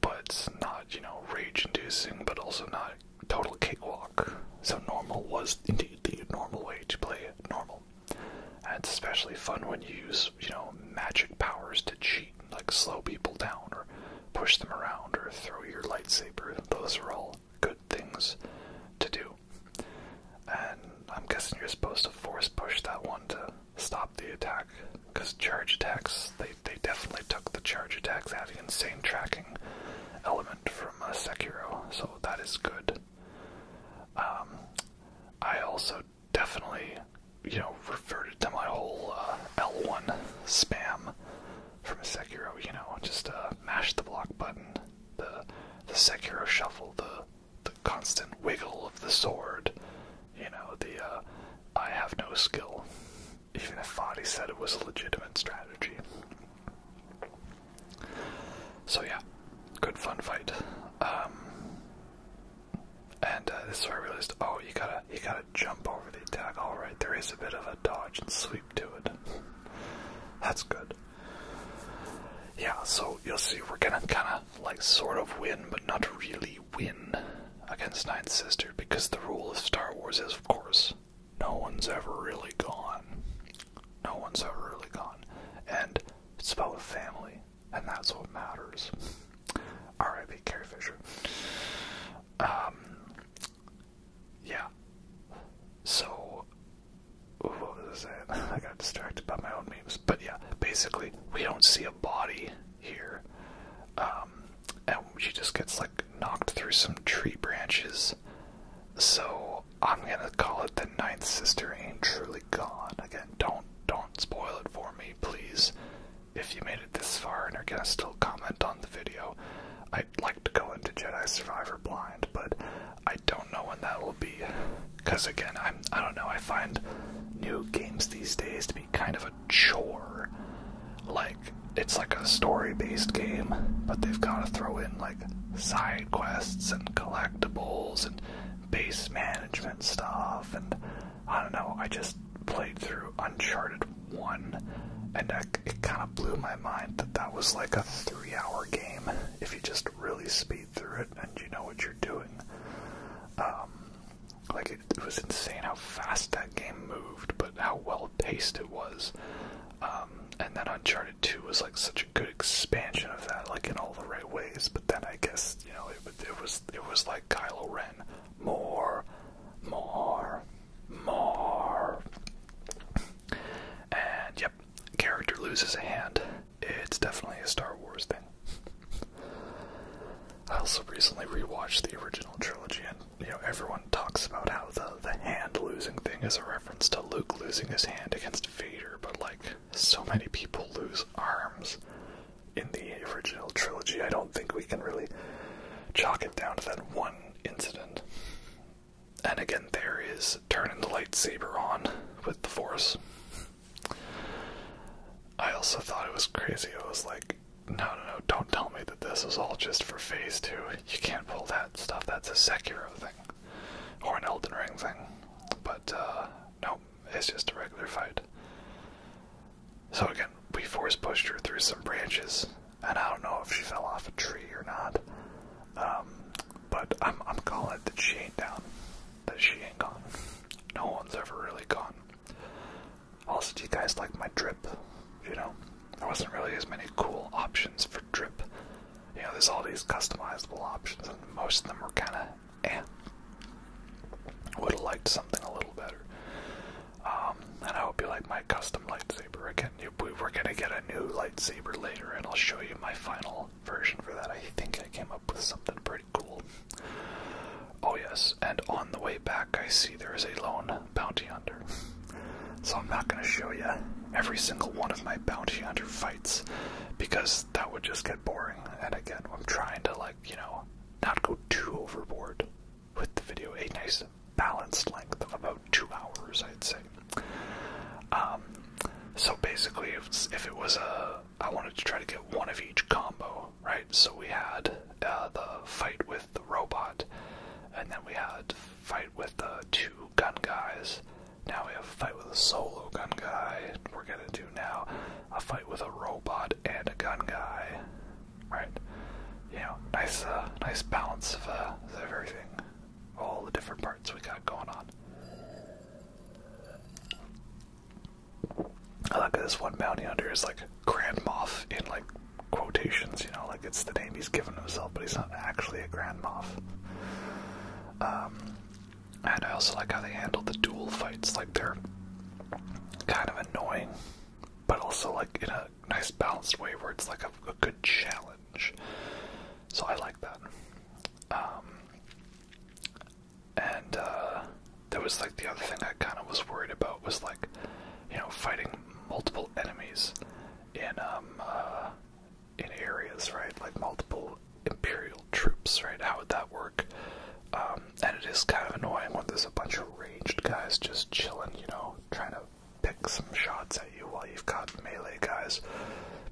but not, you know, rage inducing, but also not total cakewalk. So normal was indeed the normal way to play normal. And it's especially fun when you use, you know, magic powers to cheat, like slow people down or push them around or throw your lightsaber. Those are all good things to do. And I'm guessing you're supposed to force push that one to stop the attack, because charge attacks, they, they definitely took the charge attacks out of the insane tracking element from uh, Sekiro, so that is good. Um, I also definitely, you know, reverted to my whole uh, L1 spam from Sekiro, you know, just uh, mash the block button, the the Sekiro shuffle, the the constant wiggle of the sword, you know, the uh, I have no skill, even if Fadi said it was a legitimate strategy. So yeah, good fun fight. Um, and uh, this is where I realized, oh, you gotta you gotta jump over the attack. All right, there is a bit of a dodge and sweep to it. That's good. Yeah, so you'll see we're gonna kinda like sort of win, but not really win against Nine Sister because the rule of Star Wars is of course no one's ever really gone. No one's ever really gone. And it's about family, and that's what matters. R.I.P. Carrie Fisher. Um, yeah. So, what was I saying? (laughs) I got distracted by my own memes. But yeah, basically, we don't see a body here. Um, and she just gets like knocked through some tree branches. So I'm gonna call it the ninth sister ain't truly gone. Again, don't don't spoil it for me, please. If you made it this far and are gonna still comment on the video, I'd like to go into Jedi Survivor blind, but I don't know when that will be. Because again, I'm, I don't know, I find new games these days to be kind of a chore. Like, it's like a story based game, but they've got to throw in like side quests and collectibles and base management stuff. And I don't know, I just played through Uncharted 1 and it kind of blew my mind that that was like a three hour game if you just really speed through it and you know what you're doing. Um, like it, was insane how fast that game moved, but how well paced it was. Um, and then Uncharted 2 was like such a good expansion of that, like in all the right ways. But then I guess you know it, it was it was like Kylo Ren, more, more, more. And yep, character loses a hand. It's definitely a Star Wars thing. I also recently rewatched the original trilogy, and you know everyone talks about how the the hand losing thing is a reference to Luke losing his hand against Vader, but like so many people lose arms in the original trilogy, I don't think we can really chalk it down to that one incident. And again, there is turning the lightsaber on with the Force. I also thought it was crazy. I was like, no, no, no, don't tell me that this is all just for Phase 2. You can't pull that stuff. That's a Sekiro thing or an Elden Ring thing. But, uh, no, it's just a regular fight. So again, we force pushed her through some branches, and I don't know if she fell off a tree or not. Um, but I'm I'm calling it that she ain't down. That she ain't gone. No one's ever really gone. Also, do you guys like my drip? You know? There wasn't really as many cool options for drip. You know, there's all these customizable options and most of them were kinda eh. Would have liked something a little better. Um, and I hope you like my custom lightsaber. Again, we're gonna get a new lightsaber later, and I'll show you my final version for that. I think I came up with something pretty cool. Oh, yes, and on the way back, I see there is a lone bounty hunter. So I'm not going to show you every single one of my bounty hunter fights because that would just get boring. And again, I'm trying to, like, you know, not go too overboard with the video. A nice balanced length of about two hours, I'd say. Um, so basically, if, if it was a, I wanted to try to get one of each combo, right? So we had uh, the fight with the robot, and then we had fight with the two gun guys. Now we have a fight with a solo gun guy. We're gonna do now a fight with a robot and a gun guy, right? You nice, uh, nice balance uh, of everything, all the different parts we got going on. I like this one bounty hunter is like Grand Moff in like quotations, you know, like it's the name he's given himself, but he's not actually a Grand Moff. Um, and I also like how they handle the duel fights, like they're kind of annoying, but also like in a nice balanced way where it's like a, good challenge. So I like that. Um, and uh, that was like the other thing I kind of was worried about was like, you know, fighting multiple enemies in um uh, in areas, right? Like multiple imperial troops, right? How would that work? Um, and it is kind of annoying when there's a bunch of ranged guys just chilling, you know, trying to pick some shots at you while you've got melee guys.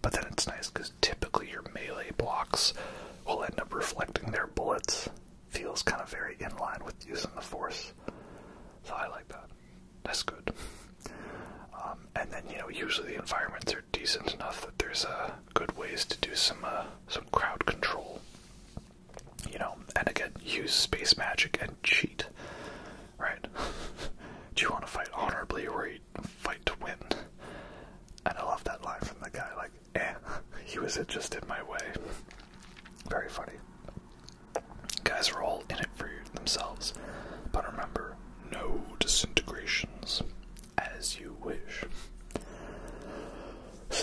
But then it's nice because typically your melee blocks will end up reflecting their bullets. Feels kind of very in line with using the force. So I like that. That's good. Um, and then you know usually the environments are decent enough that there's uh, good ways to do some uh, some crowd control. You know, and again use space magic and cheat. Right? (laughs) do you want to fight honorably or you fight to win? And I love that line from the guy, like, eh, (laughs) he was just in my way. Very funny. Guys are all in it for themselves, but remember, no disintegrations as you wish.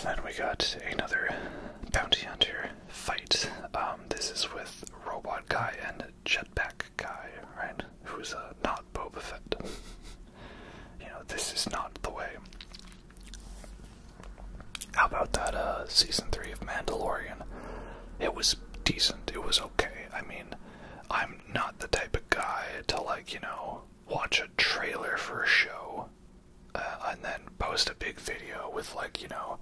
then we got another bounty hunter fight. Um, this is with Robot Guy and Jetpack Guy, right? Who's uh, not Boba Fett. (laughs) you know, this is not the way. How about that uh season 3 of Mandalorian? It was decent. It was okay. I mean, I'm not the type of guy to like, you know, watch a trailer for a show uh, and then post a big video with like, you know,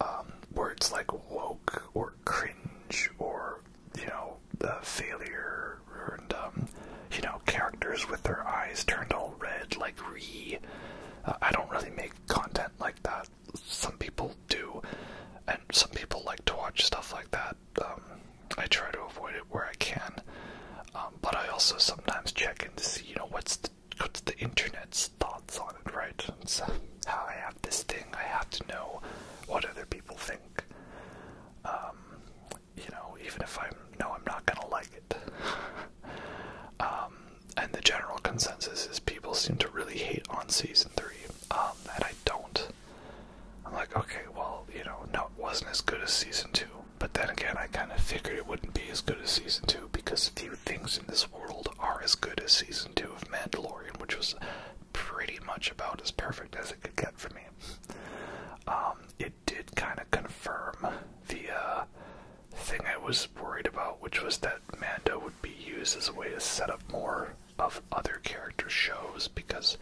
um words like woke or cringe or you know the failure and um, you know characters with their eyes turned all red like re. Uh, I don't really make content like that. Some people do, and some people like to watch stuff like that. Um, I try to avoid it where I can, um, but I also sometimes check and see you know what's the, internet's thoughts on it, right? how I have this thing. I have to know what other people think. Um, you know, even if I know I'm not gonna like it. (laughs) um, and the general consensus is people seem to really hate on season three, um, and I don't. I'm like, okay, well, you know, no, it wasn't as good as season two. But then again, I kind of figured it wouldn't be as good as season two because few things in this world are as good as season two of Mandalorian, which was pretty much about as perfect as it could get for me. Um, it did kind of confirm the uh, thing I was worried about, which was that Mando would be used as a way to set up more of other character shows because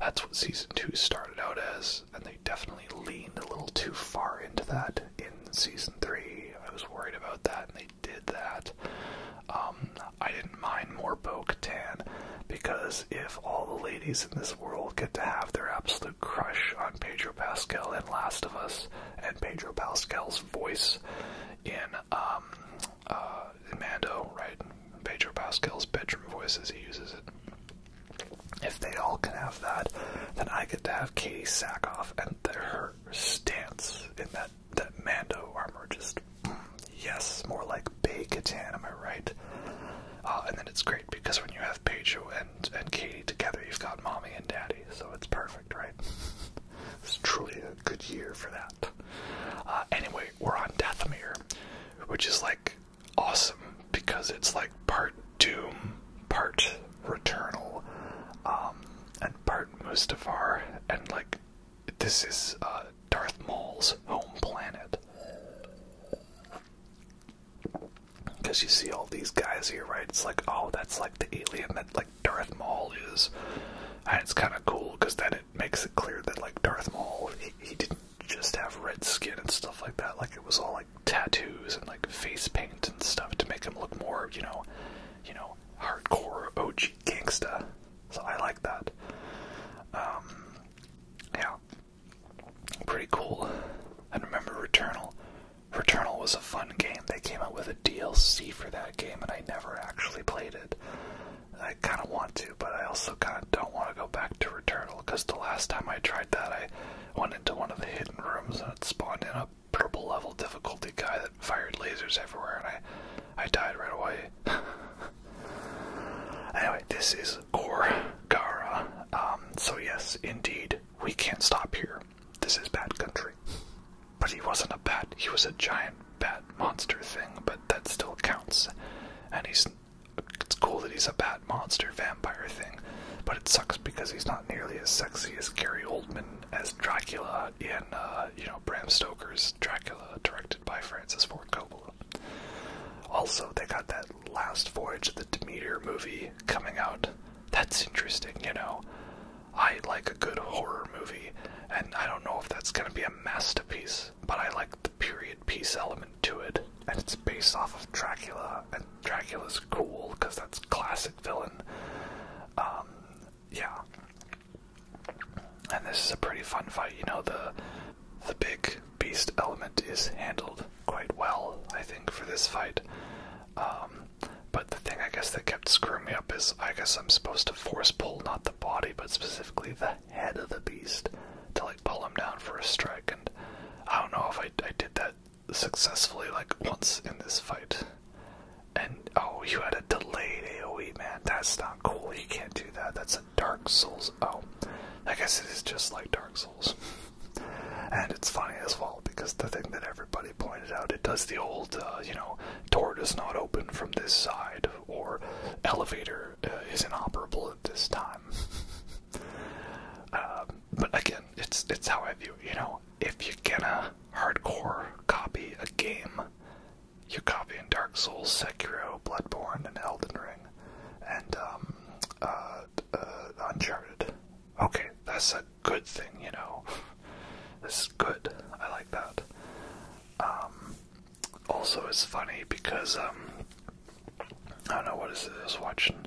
that's what season two started out as, and they definitely leaned a little too far into that in season three. I was worried about that, and they did that. Um, I didn't mind more Bo tan, because if all the ladies in this world get to have their absolute crush on Pedro Pascal and Last of Us and Pedro Pascal's voice um, uh, in Mando, right? Pedro Pascal's bedroom voice as he uses it. If they all can have that, then I get to have Katie Sackhoff and her stance in that that Mando armor just Yes, more like Bay Catan, am I right? Uh, and then it's great because when you have Pedro and, and Katie together, you've got mommy and daddy, so it's perfect, right? (laughs) it's truly a good year for that. Uh, anyway, we're on Dathomir, which is like awesome because it's like part Doom, part Returnal, um, and part Mustafar, and like this is uh, Darth Maul's home planet. Because you see all these guys here, right? It's like, oh, that's like the alien that like Darth Maul is, and it's kind of cool because then it makes it clear that like Darth Maul, he, didn't just have red skin and stuff like that. Like it was all like tattoos and like face paint and stuff to make him look more, you know, you know, hardcore OG gangsta. So I like that. Um, yeah, out. Pretty cool. I remember Returnal. Returnal was a fun game. They came out with a DLC for that game, and I never actually played it. I kind of want to, but I also kind of don't want to go back to Returnal because the last time I tried that, I went into one of the hidden rooms and it spawned in a purple level difficulty guy that fired lasers everywhere, and I, I died right away. (laughs) Anyway, this is Gorgara. Um, so yes, indeed, we can't stop here. This is bad country. But he wasn't a bat, he was a giant bat monster thing, but that still counts. And he's it's cool that he's a bat monster vampire thing, but it sucks because he's not nearly as sexy as Gary Oldman as Dracula in uh, you know Bram Stoker's Dracula directed by Francis Ford also, they got that Last Voyage of the Demeter movie coming out. That's interesting, you know. I like a good horror movie, and I don't know if that's gonna be a masterpiece, but I like the period piece element to it. And it's based off of Dracula, and Dracula's cool because that's classic villain. Um, yeah. And this is a pretty fun fight, you know the the big beast element is handled quite well, I think, for this fight. Um, but the thing I guess that kept screwing me up is I guess I'm supposed to force pull not the body, but specifically the head of the beast to like pull him down for a strike. And I don't know if I, I did that successfully like once in this fight. And oh, you had a delayed AoE, man. That's not cool. You can't do that. That's a Dark Souls. Oh, I guess it is just like Dark Souls. (laughs) and it's funny as well because the thing that everybody pointed out, it does the old, uh, you know, door does not open from this side, or elevator uh, is inoperable at this time. (laughs) Um, but again, it's it's how I view You know, if you're gonna hardcore copy a game, you copy in Dark Souls, Sekiro, Bloodborne, and Elden Ring and um, uh, uh, Uncharted. Okay, that's a good thing, you know. (laughs) this is good. I like that. Um, also, it's funny because um, I don't know what is I was watching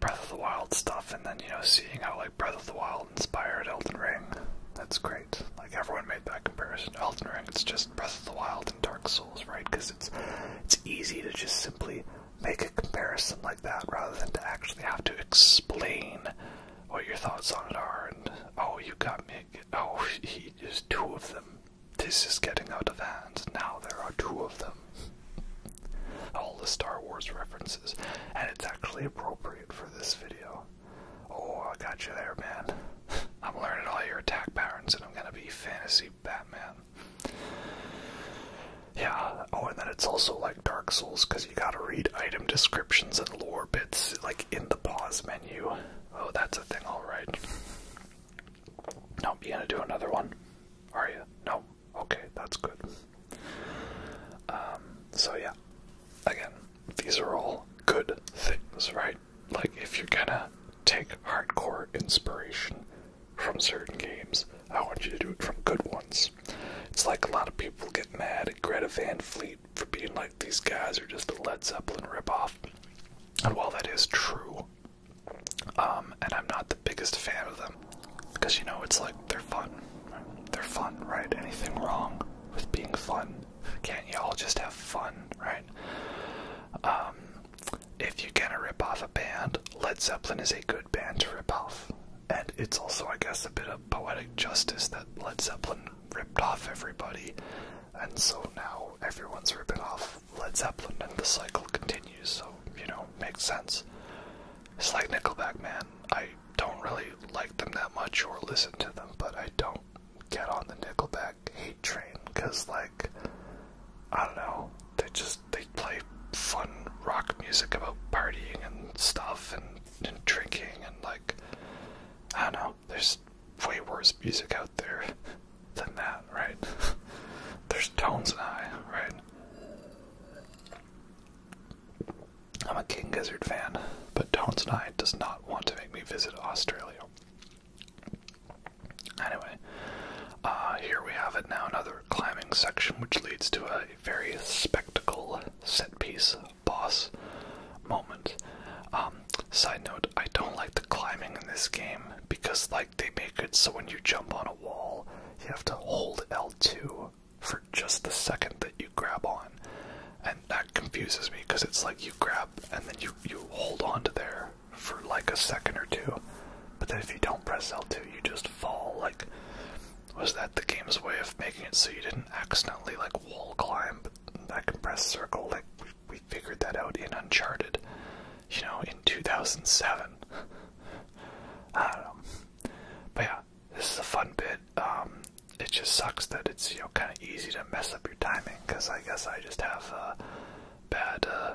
Breath of the Wild stuff, and then you know, seeing how like Breath of the Wild inspired Elden Ring. That's great. Like everyone made that comparison. Elden Ring, it's just Breath of the Wild and Dark Souls, right? Because it's it's easy to just simply make a comparison like that rather than to actually have to explain what your thoughts on it are. And oh, you got me. Oh, (laughs) he is two of them. This is getting out of hand. Now there are two of them. (laughs) All the Star Wars references, and it's actually appropriate for this video. Oh, I got you there, man. (laughs) I'm learning all your attack patterns, and I'm gonna be fantasy Batman. Yeah, oh, and then it's also like Dark Souls because you gotta read item descriptions and lore bits like in the pause menu. Oh, that's a thing, alright. Nope, you gonna do another one? Are you? No? Okay, that's good. Um, so yeah, again, these are all good things, right? Like, if you're gonna take hardcore inspiration from certain games, I want you to do it from good ones. It's like a lot of people get mad at Greta Van Fleet for being like, these guys are just a Led Zeppelin ripoff. And while that is true, um, and I'm not the biggest fan of them, because you know, it's like they're fun. They're fun, right? Anything wrong with being fun? Can't y'all just have fun, right? Um, if you're gonna rip off a band, Led Zeppelin is a good band to rip off. And it's also, I guess, a bit of poetic justice that Led Zeppelin ripped off everybody. And so now everyone's ripping off Led Zeppelin and the cycle continues, so, you know, makes sense. It's like Nickelback, man. I don't really like them that much or listen to them, but I don't get on the Nickelback Train because, like, I don't know, they just they play fun rock music about partying and stuff and, drinking and like, I don't know, there's way worse music out there than that, right? (laughs) there's Tones and I, right? I'm a King Gizzard fan, but Tones and I does not want to make me visit Australia. Anyway, uh, here we have it now, another climbing section, which leads to a very spectacle set piece boss moment. Um, side note, I don't like the climbing in this game because, like, they make it so when you jump on a wall, you have to hold L2 for just the second that you grab on. And that confuses me because it's like you grab and then you, you hold on to there for like a second or two, but then if you don't press L2, you just fall. Like, was that the game's way of making it so you didn't accidentally like wall climb? But I can press circle. Like, we, figured that out in Uncharted, you know, in 2007. (laughs) I don't know. But yeah, this is a fun bit. Um, it just sucks that it's you know kind of easy to mess up your timing because I guess I just have a bad uh,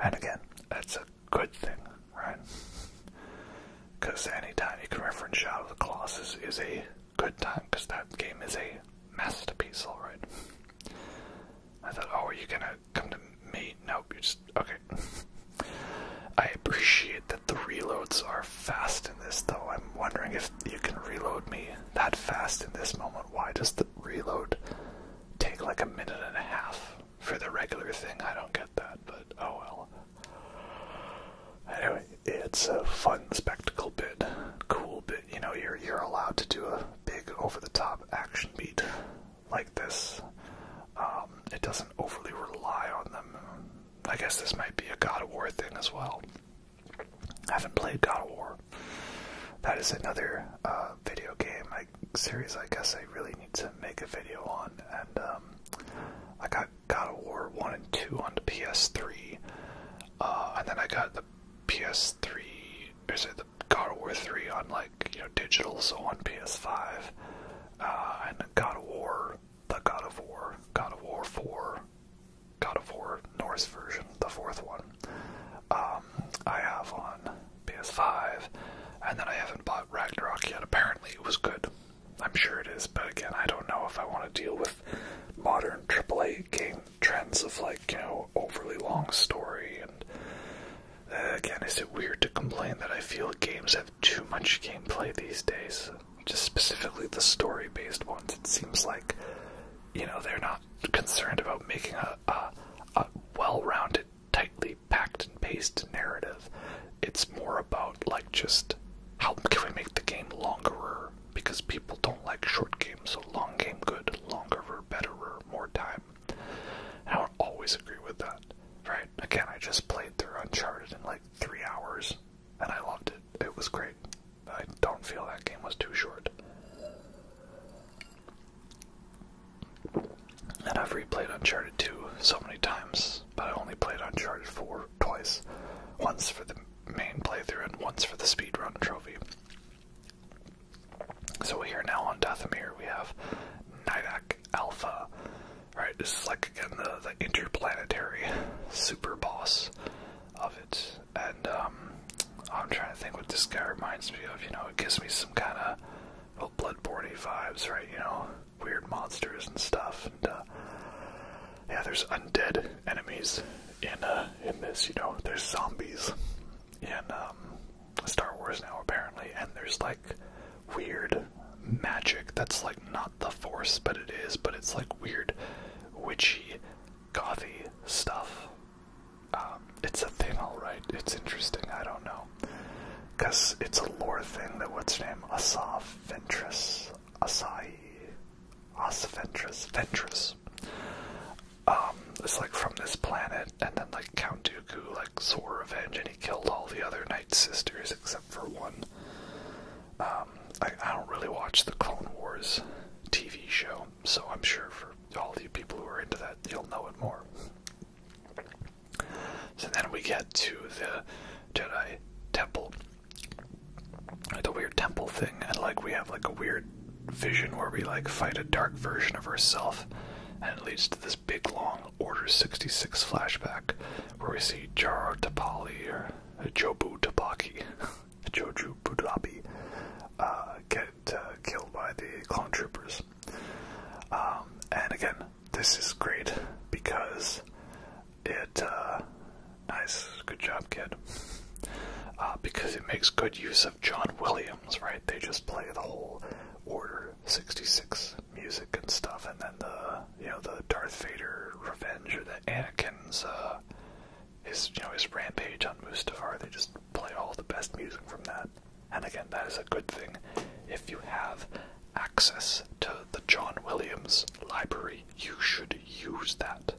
And again, that's a good thing, right? Because any time you can reference Shadow of the Colossus is a good time, because that game is a masterpiece, alright? I thought, oh, are you gonna come to me? No, you just. Okay. I appreciate that the reloads are fast in this, though. I'm wondering if you can reload me that fast in this moment. Why does the reload take like a minute and a half for the regular thing. I don't get that, but oh well. Anyway, it's a fun spectacle bit, cool bit. You know, you're you're allowed to do a big over-the-top action beat like this. Um, it doesn't overly rely on them. I guess this might be a God of War thing as well. I haven't played God of War. That is another uh, video game I, series I guess I really need to make a video on. And um, I got God of War 1 and 2 on the PS3. Uh, and then I got the PS3, or sorry, the God of War 3 on like, you know, digital, so on PS5. Uh, and God of War, the God of War, God of War 4, God of War Norse version, the fourth one. Um, I have on PS5, and then I haven't bought Ragnarok yet. Apparently, it was good. I'm sure it is, but again, I don't know if I want to deal with modern AAA game trends of like, you know, overly long story. And uh, again, is it weird to complain that I feel games have too much gameplay these days? Just specifically the story based ones. It seems like, you know, they're not concerned about making a, a, well-rounded, tightly packed and paced narrative. It's more about like just how can we make the game longerer because people don't like short games, so long game good, longerer, betterer, more time. I do always agree with that, right? Again, I just played through Uncharted in like three hours, and I loved it. It was great. I don't feel that game was too short. And I've replayed Uncharted 2 so many times, but I only played Uncharted 4 twice. Once for the main playthrough and once for the speedrun trophy. So we here now on Dathomir we have Nidak Alpha. Right, this is like again the, the interplanetary super boss of it. And um I'm trying to think what this guy reminds me of. You know, it gives me some kind of well, bloodborne vibes, right? You know, weird monsters and stuff. And uh, yeah, there's undead enemies in uh, in this. You know, there's zombies in um, Star Wars now apparently, and there's like weird magic that's like not the Force, but it is. But it's like weird, witchy, gothy stuff um, it's a thing, alright. It's interesting, I don't know. Because it's a lore thing that what's name? Asaf Ventress. Asai. Asa Ventress. Ventress. Um, it's like from this planet, and then like Count Dooku like swore revenge and he killed all the other Night Sisters except for one. Um, I, I don't really watch the Clone Wars TV show, so I'm sure for all the people who are into that, you'll know it more. So then we get to the Jedi temple, like the weird temple thing, and like we have like a weird vision where we like fight a dark version of ourself, and it leads to this big long Order 66 flashback where we see Jar Tapali or Jobu Tapaki, (laughs) Joju Budabi, uh, get uh, killed by the clone troopers. Um, and again, this is great because it. Uh, nice, good job, kid. Uh, because it makes good use of John Williams, right? They just play the whole Order 66 music and stuff, and then the you know the Darth Vader revenge or the Anakin's uh, his you know his rampage on Mustafar. They just play all the best music from that. And again, that is a good thing if you have access to the John Williams library, you should use that.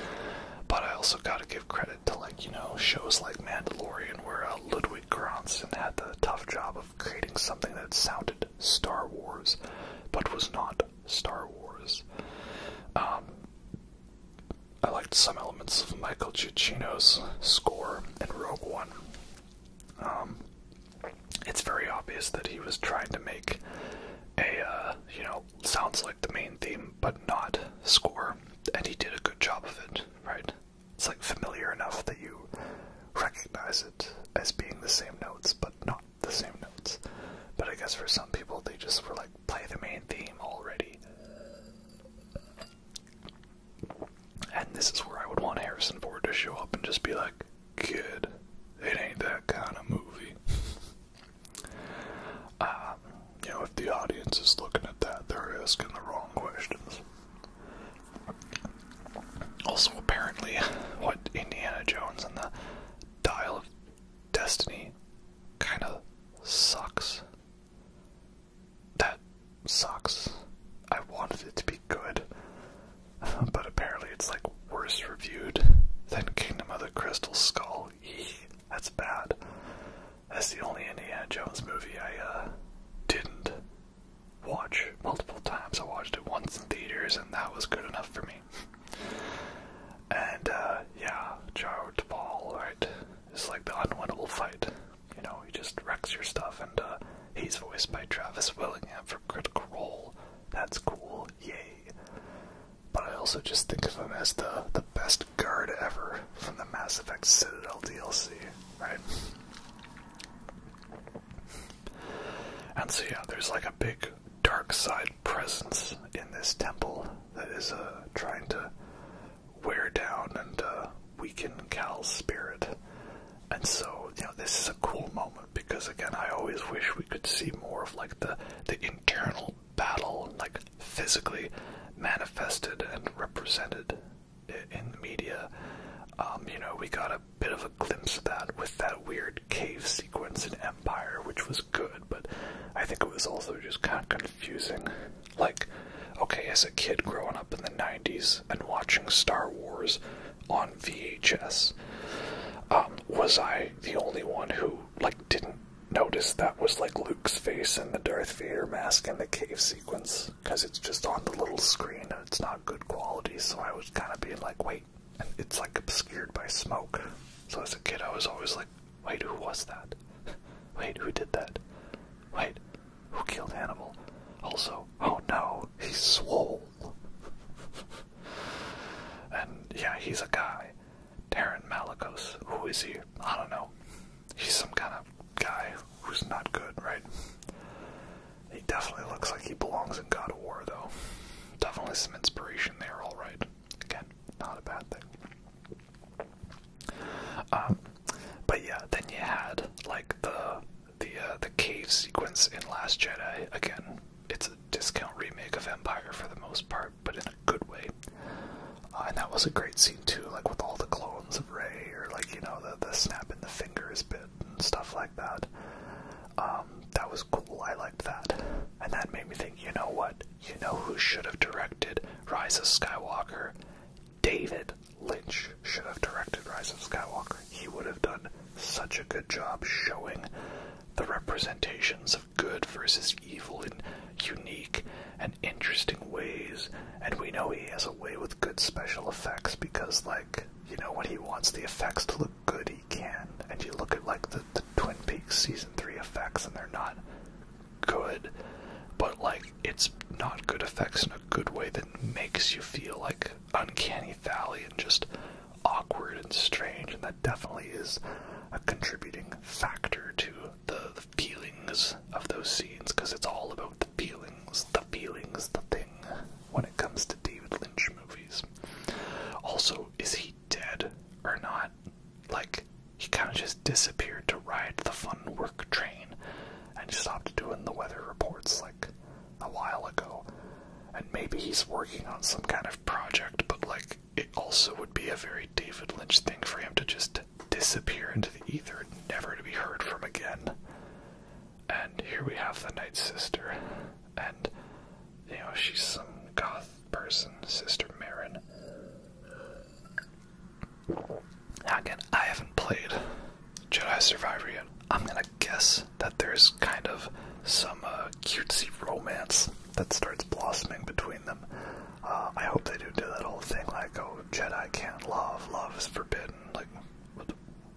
(laughs) but I also gotta give credit to, like, you know, shows like Mandalorian, where uh, Ludwig Göransson had the tough job of creating something that sounded Star Wars, but was not Star Wars. Um, I liked some elements of Michael Giacchino's score in Rogue One. Um, it's very obvious that he was trying to make a, uh, you know, sounds like the main theme, but not score, and he did a good job of it, right? It's like familiar enough that you recognize it as being the same notes, but not the same notes. But I guess for some people, they just were like, play the main theme already. And this is where I would want Harrison Ford to show up and just be like, kid, it ain't that kind of movie. (laughs) Um, you know, if the audience is looking at that, they're asking the wrong questions. Also, apparently, (laughs) what Indiana Jones and the Dial of Destiny kind of sucks. That sucks. I wanted it to be good, (laughs) but apparently it's like worse reviewed than Kingdom of the Crystal Skull. Eee, that's bad. That's the only Indiana Jones movie I uh, didn't watch multiple times. I watched it once in theaters, and that was good enough for me. And uh, yeah, yeah, to Paul, right? It's like the unwinnable fight you know, he just wrecks your stuff. And he's voiced by Travis Willingham for Critical Role. That's cool, yay. But I also just think of him as the, the best guard ever from the Mass Effect Citadel DLC, right? And so, yeah, there's like a big dark side presence in this temple that is uh, trying to wear down and uh, weaken Cal's spirit. And so, you know, this is a cool moment because again, I always wish we could see more of like the the internal battle, like physically manifested and represented in the media. Um, you know, we got a bit of a glimpse of that with that weird cave sequence in Empire, which was good, but I think it was also just kind of confusing. Like, okay, as a kid growing up in the 90s and watching Star Wars on VHS, um, was I the only one who, like, didn't notice that was, like, Luke's face in the Darth Vader mask in the cave sequence? Because it's just on the little screen and it's not good quality, so I was kind of being like, wait, and it's, like, obscured by smoke. So as a kid, I was always like, wait, who was that? (laughs) Wait, who did that? Wait, who killed Hannibal? Also, oh no, he's swole. and yeah, he's a guy. Taryn Malakos. Who is he? I don't know. He's some kind of guy who's not good, right? He definitely looks like he belongs in God of War, though. Definitely some inspiration there, alright. Again, not a bad thing. Um, but yeah, then you had like the the uh, the cave sequence in Last Jedi. Again, it's a discount remake of Empire for the most part, but in a good way. Uh, and that was a great scene too, like with all the clones of Rey, or like you know the the snap in the fingers bit and stuff like that. Um, that was cool. I liked that, and that made me think. You know what? You know who should have directed Rise of Skywalker? David Lynch should have directed Rise of Skywalker. He would have done such a good job showing the representations of good versus evil in unique and interesting ways. And we know he has a way with good special effects because, like, you know, when he wants the effects to look good, he can. And you look at, like, the, Twin Peaks Season 3 effects, and they're not good, but like it's not good effects in a good way that makes you feel like uncanny valley and just awkward and strange, and that definitely is a contributing factor to the, feelings of those scenes because it's all about the feelings, the feelings, the thing when it comes to David Lynch movies. Also, is he dead or not? Like, he kind of just disappeared to ride the fun work train and stopped doing the weather reports like a while ago. And maybe he's working on some kind of project, but like it also would be a very David Lynch thing for him to just disappear into the ether, never to be heard from again. And here we have the Night Sister, and you know, she's some goth person, Sister Marin. Now again, I haven't played Jedi Survivor yet. I'm gonna guess that there's kind of some uh, cutesy romance that starts blossoming between them. Uh, I hope they do do that whole thing like, oh, Jedi can't love, love is forbidden. Like,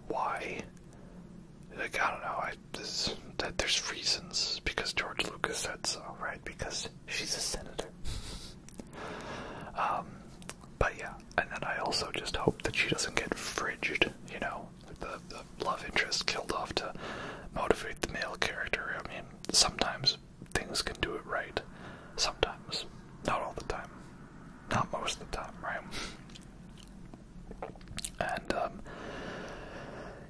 why? Like, I don't know. I that there's reasons because George Lucas said so, right? Because she's a senator. Um, but yeah, and then I also just hope that she doesn't get fridged, you know, the, the love interest killed off to motivate the male character. I mean, sometimes things can do it right. Sometimes. Not all the time. Not most of the time, right? And, um,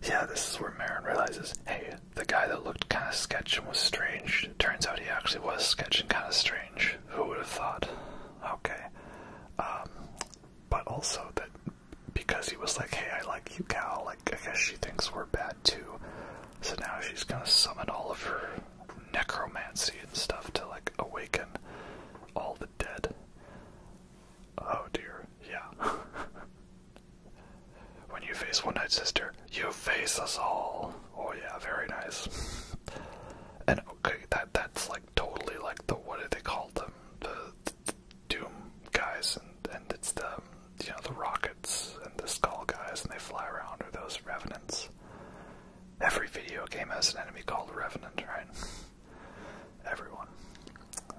yeah, this is where Marin realizes, hey, the guy that looked kind of sketch and was strange, turns out he actually was sketch and kind of strange. Who would have thought? Okay. Um, but also that because he was like, hey, I like you, Cal, like, I guess she thinks we're bad too. So now she's gonna summon all of her necromancy and stuff to, like, awaken all the dead. Oh dear, yeah. (laughs) when you face One Night Sister, you face us all. Oh yeah, very nice. and okay, that that's like totally like the what do they call them? The, Doom guys and and it's the you know the rockets and the skull guys and they fly around or those revenants. Every video game has an enemy called Revenant, right? Everyone.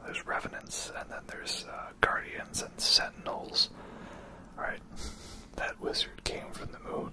There's Revenants, and then there's uh, Guardians and Sentinels. Alright, that wizard came from the moon.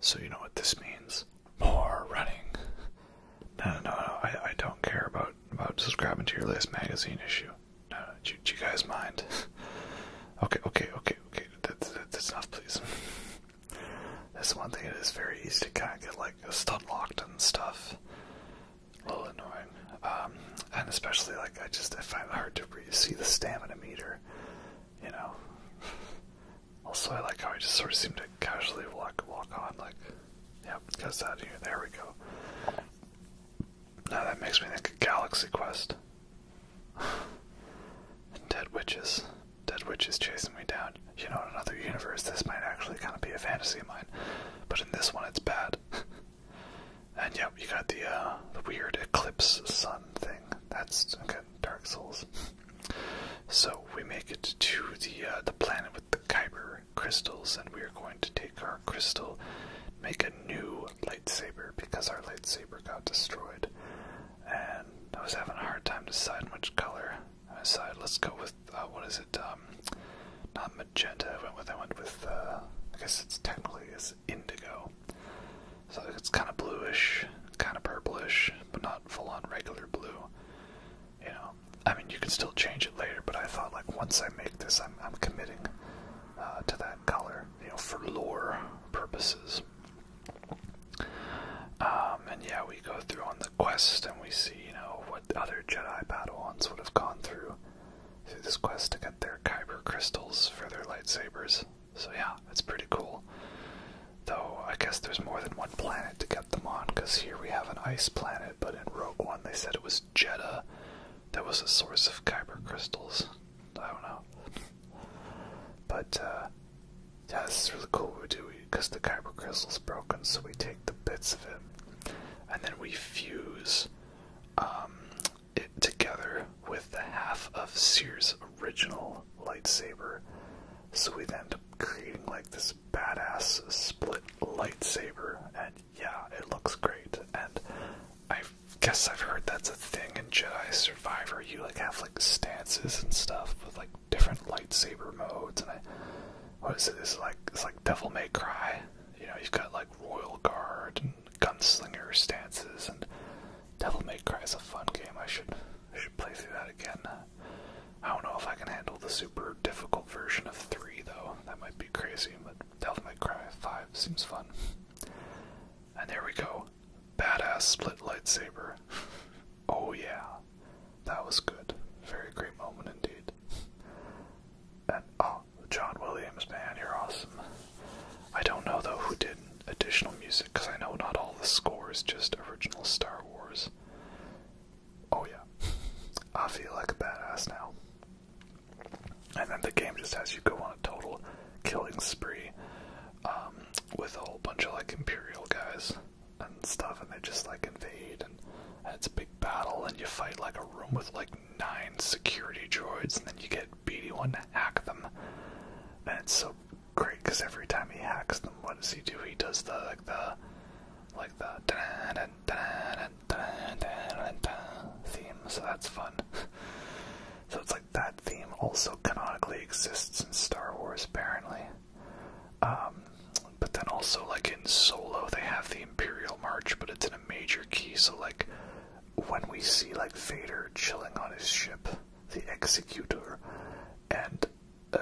So you know what this means? More running. No, no, no, I, don't care about about subscribing to your last magazine issue. No, do, you guys mind? (laughs) okay, okay, okay, okay. that's enough, please. (laughs) That's one thing. It is very easy to kind of get like stuck locked and stuff. A little annoying, um, and especially like I just I find it hard to see the stamina meter. You know, also, I like how I just sort of seem to casually walk walk on, like, yep, gets out here. There we go. Now that makes me think of Galaxy Quest. (sighs) dead witches, dead witches chasing me down. You know, in another universe, this might actually kind of be a fantasy of mine, but in this one, it's bad. (laughs) and yep, you got the uh, the weird eclipse sun thing. That's okay. Dark Souls. (laughs) So we make it to the uh, the planet with the Kyber crystals, and we are going to take our crystal, make a new lightsaber because our lightsaber got destroyed. And I was having a hard time deciding which color. I decided let's go with uh, what is it? Um, not magenta. I went with I went with. Uh, I guess it's technically is indigo. So it's kind of bluish, kind of purplish, but not full on regular blue. You know, I mean, you can still change it later, but I thought like once I make this, I'm I'm committing uh, to that color, you know, for lore purposes. Um, and yeah, we go through on the quest, and we see you know what other Jedi Padawans would have gone through through this quest to get their kyber crystals for their lightsabers. So yeah, it's pretty cool. Though, I guess there's more than one planet to get them on, because here we have an ice planet, but in Rogue One they said it was Jeddah that was a source of Kyber crystals. I don't know. but, uh, yeah, this is really cool what we do, because the Kyber crystal's broken, so we take the bits of it, and then we fuse um, it together with the half of Seer's original lightsaber, so we end up creating like this badass split lightsaber, and yeah, it looks great. And I guess I've heard that's a thing in Jedi Survivor. You like have like stances and stuff with like different lightsaber modes, and what is it? It's like it's like Devil May Cry. You know, you've got like Royal Guard and Gunslinger stances, and Devil May Cry is a fun game. I should I should play through that again. I don't know if I can handle the super difficult version of 3 though. That might be crazy, but Devil May Cry 5 seems fun. And there we go. Badass split lightsaber. oh yeah. That was good. Very great moment indeed. And oh, John Williams, man, you're awesome. I don't know though who did additional music because I know not all the score is just original Star Wars. Oh yeah. (laughs) I feel like a badass now. And then the game just has you go on a total killing spree um, with a whole bunch of like Imperial guys and stuff, and they just like invade, and, it's a big battle, and you fight like a room with like nine security droids, and then you get BD1 to hack them. And it's so great because every time he hacks them, what does he do? He does the like the like the theme, so that's fun. so it's like that theme also canonically exists in Star Wars, apparently. Um, but then also, like in Solo, they have the Imperial March, but it's in a major key, so like when we see like Vader chilling on his ship, the Executor, and uh,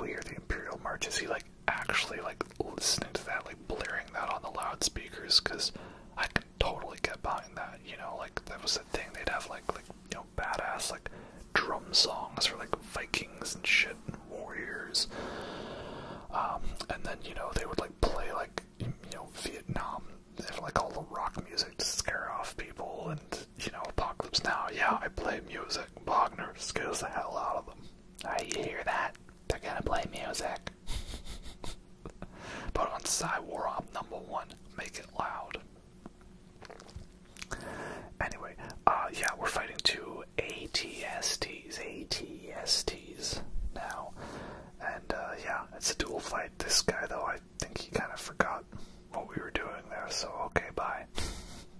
we hear the Imperial March, is he like actually like listening to that, like blaring that on the loudspeakers? Because I could totally get behind that, you know, like that was the thing. They'd have like like you know badass like drum songs for like Vikings and shit and warriors, um, and then you know they would like play like you know Vietnam, they have, like all the rock music to scare off people and you know, Apocalypse Now, yeah, I play music. Wagner scares the hell out of them. I hear that? They're gonna play music. but (laughs) on op number one, make it loud. Anyway, uh, yeah, we're fighting two ATSTs, ATSTs now. And uh, yeah, it's a dual fight. This guy, though, I think he kind of forgot what we were doing there, so okay, bye. (laughs)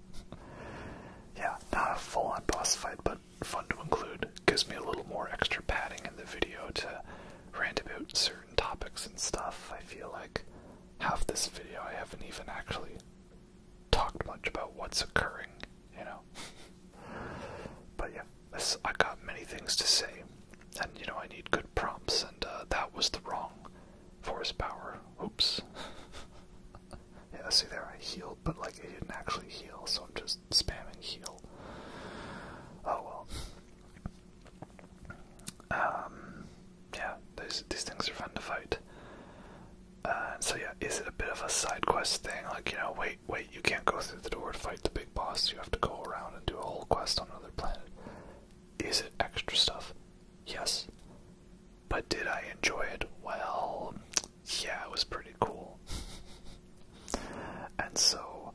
(laughs) yeah, not a full-on boss fight, but fun to include. Gives me a little more extra padding in the video to rant about certain topics and stuff. I feel like half this video I haven't even actually talked much about what's occurring, you know. (laughs) but yeah, this, I got many things to say, and you know I need good prompts, and uh, that was the wrong Force power. Oops. (laughs) yeah, see there, I healed, but like it didn't actually heal, so I'm just spamming heal. Oh well. Um, yeah, those these things are fun to fight. Uh, and so yeah, is it a bit of a side quest thing? Like you know, wait, wait, you can't go through the door to fight the big boss. You have to go around and do a whole quest on another planet. Is it extra stuff? Yes, but did I enjoy it? Well, yeah, it was pretty cool. (laughs) and so,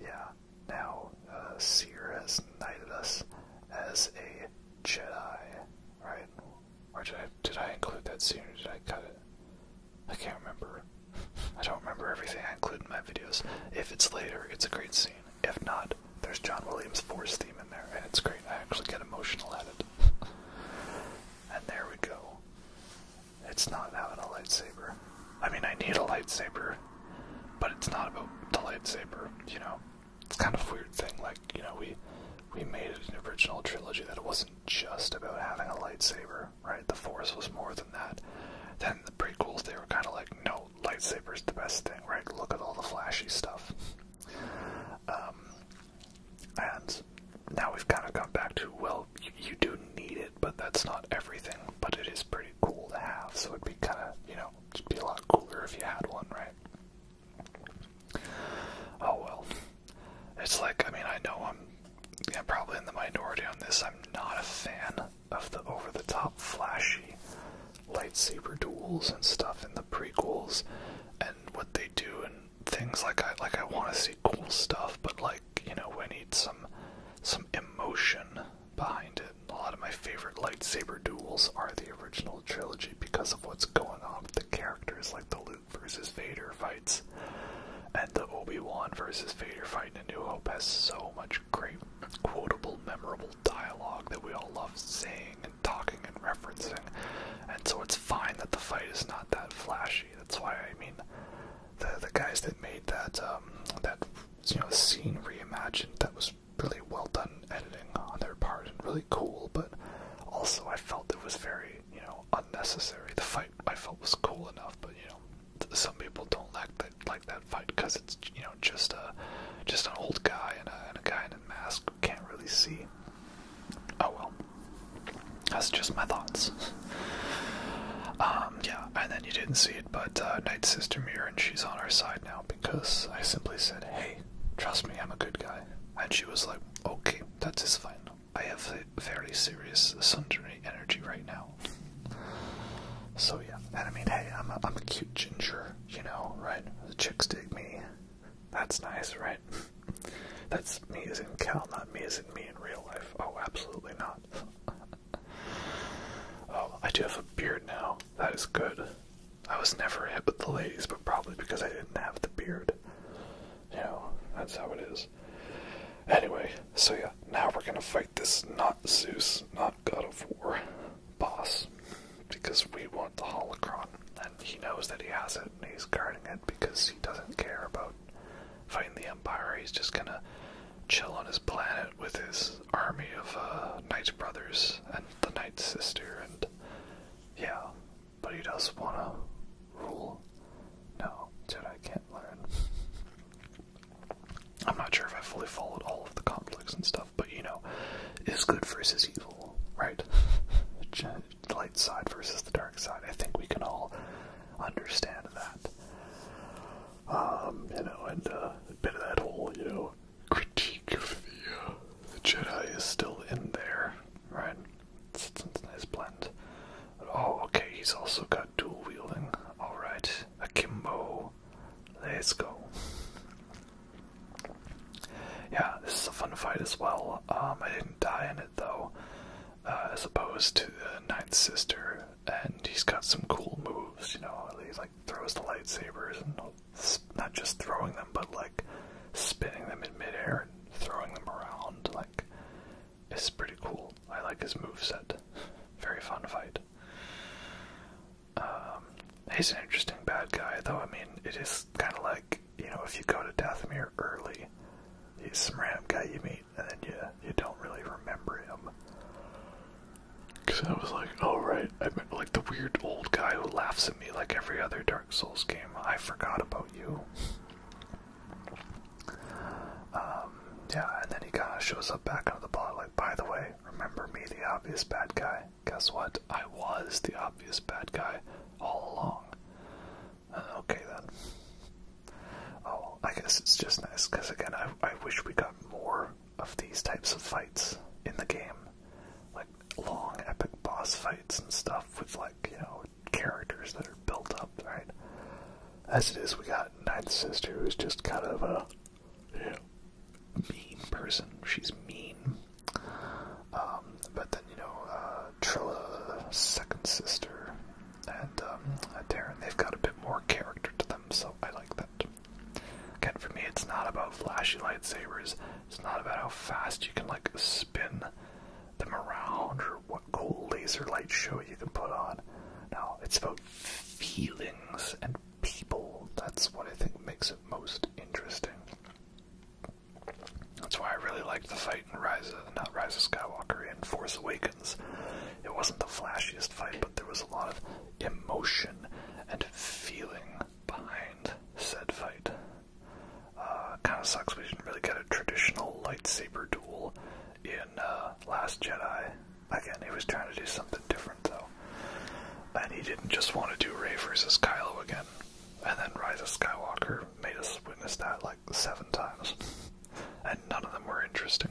yeah, now uh, Seer has knighted us as a Jedi, right? Or did I, did I include that scene did I cut it? I can't remember. (laughs) I don't remember everything I include in my videos. If it's later, it's a great scene. If not, there's John Williams' Force theme in there, and it's great. I actually get emotional at it. (laughs) and there we go. It's not having a lightsaber. I mean, I need a lightsaber, but it's not about the lightsaber, you know? It's kind of weird thing, like, you know, we we made an original trilogy that wasn't just about having a lightsaber, right? The Force was more than that. Then the prequels, they were kind of like, no, lightsaber's the best thing, right? Look at all the flashy stuff. Um, and now we've kind of come back to, well, you, you do need it, but that's not everything, but it is pretty cool to have, so it'd be kind of, you know, it'd be a lot cooler if you had one, right? Oh well. It's like, I mean, I know I'm yeah, probably in the minority on this. I'm not a fan of the over the top, flashy lightsaber duels and stuff in the prequels and what they do and things like I like I want to see cool stuff, but like you know I need some some emotion behind it. A lot of my favorite lightsaber duels are the original trilogy because of what's going on with the characters, like the Luke versus Vader fights, and the Obi Wan versus Vader fighting in New Hope has so much great quotable, memorable dialogue that we all love saying and talking and referencing. And so it's fine that the fight is not that flashy. That's why I mean the the guys that made that um, that you know scene reimagined that was really well done editing on their part and really cool, but also I felt it was very, you know, unnecessary. The fight I felt was cool enough, but you know, some people don't like that like that fight because it's you know just a just an old guy and a guy in a mask can't really see. Oh well. That's just my thoughts. (laughs) um, yeah, and then you didn't see it, but uh, Night Sister Mirror, and she's on our side now because I simply said, hey, trust me, I'm a good guy. And she was like, okay, that is fine. I have very serious sundry energy right now. So yeah, and I mean, hey, I'm a, I'm a cute ginger, you know, right? The chicks dig me. That's nice, right? (laughs) That's me as in Cal, not me as in me in real life. Oh, absolutely not. (laughs) oh, I do have a beard now. That is good. I was never hit with the ladies, but probably because I didn't have the beard. You know, that's how it is. Anyway, so yeah, now we're gonna fight this not Zeus, not God of War boss, because we want the Holocron and he knows that he has it and he's guarding it because he doesn't care about fighting the Empire. He's just gonna chill on his planet with his army of uh, Knight brothers and the Knight sister, and yeah, but he does wanna rule. No, I can't learn. I'm not sure if I fully followed all of the conflicts and stuff, but you know, is good versus evil, right? (laughs) the light side versus the dark side. I think we can all understand that. Um, you know, and uh, a bit of that whole, you know, critique of uh, the, Jedi is still in there, right? It's, it's, it's a nice blend. Oh, okay, he's also got dual wielding. Alright, akimbo. Let's go. Yeah, this is a fun fight as well. Um, I didn't die in it though, uh, as opposed to the Ninth Sister, and he's got some cool moves, you know, he like throws the lightsabers, and not just throwing them, but like spinning them in midair and throwing them around, like, it's pretty cool. I like his move set. Very fun fight. Um, he's an interesting bad guy, though. I mean, it is kind of like you know, if you go to Dathomir early, he's some random guy you meet, and then you you don't really remember him. Cause I was like, oh right, I met like the weird old guy who laughs at me like every other Dark Souls game. I forgot about you. um, yeah, and then he kind of shows up back on the plot, like, by the way, remember me, the obvious bad guy? Guess what? I was the obvious bad guy all along. Uh, okay then. Oh, I guess it's just nice because again, I I wish we got more of these types of fights in the game, like long epic boss fights and stuff with like you know characters that are built up, right? As it is, we got Ninth Sister, who's just kind of a yeah, mean person. She's mean. Um, but then you know uh, second sister, and um, Darren, they've got a bit more character to them, so I like that. Again, for me, it's not about flashy lightsabers. It's not about how fast you can like spin them around or what cool laser light show you can put on. No, it's about feelings and people. That's what I think makes it most interesting. That's why I really liked the fight in Rise of, not Rise of Skywalker, in Force Awakens. It wasn't the flashiest fight, but there was a lot of emotion and feeling behind said fight. Uh, kind of sucks we didn't really get a traditional lightsaber duel in uh, Last Jedi. Again, he was trying to do something different, though. And he didn't just want to do Rey versus Kylo again and then Rise of Skywalker made us witness that like seven times, (laughs) and none of them were interesting.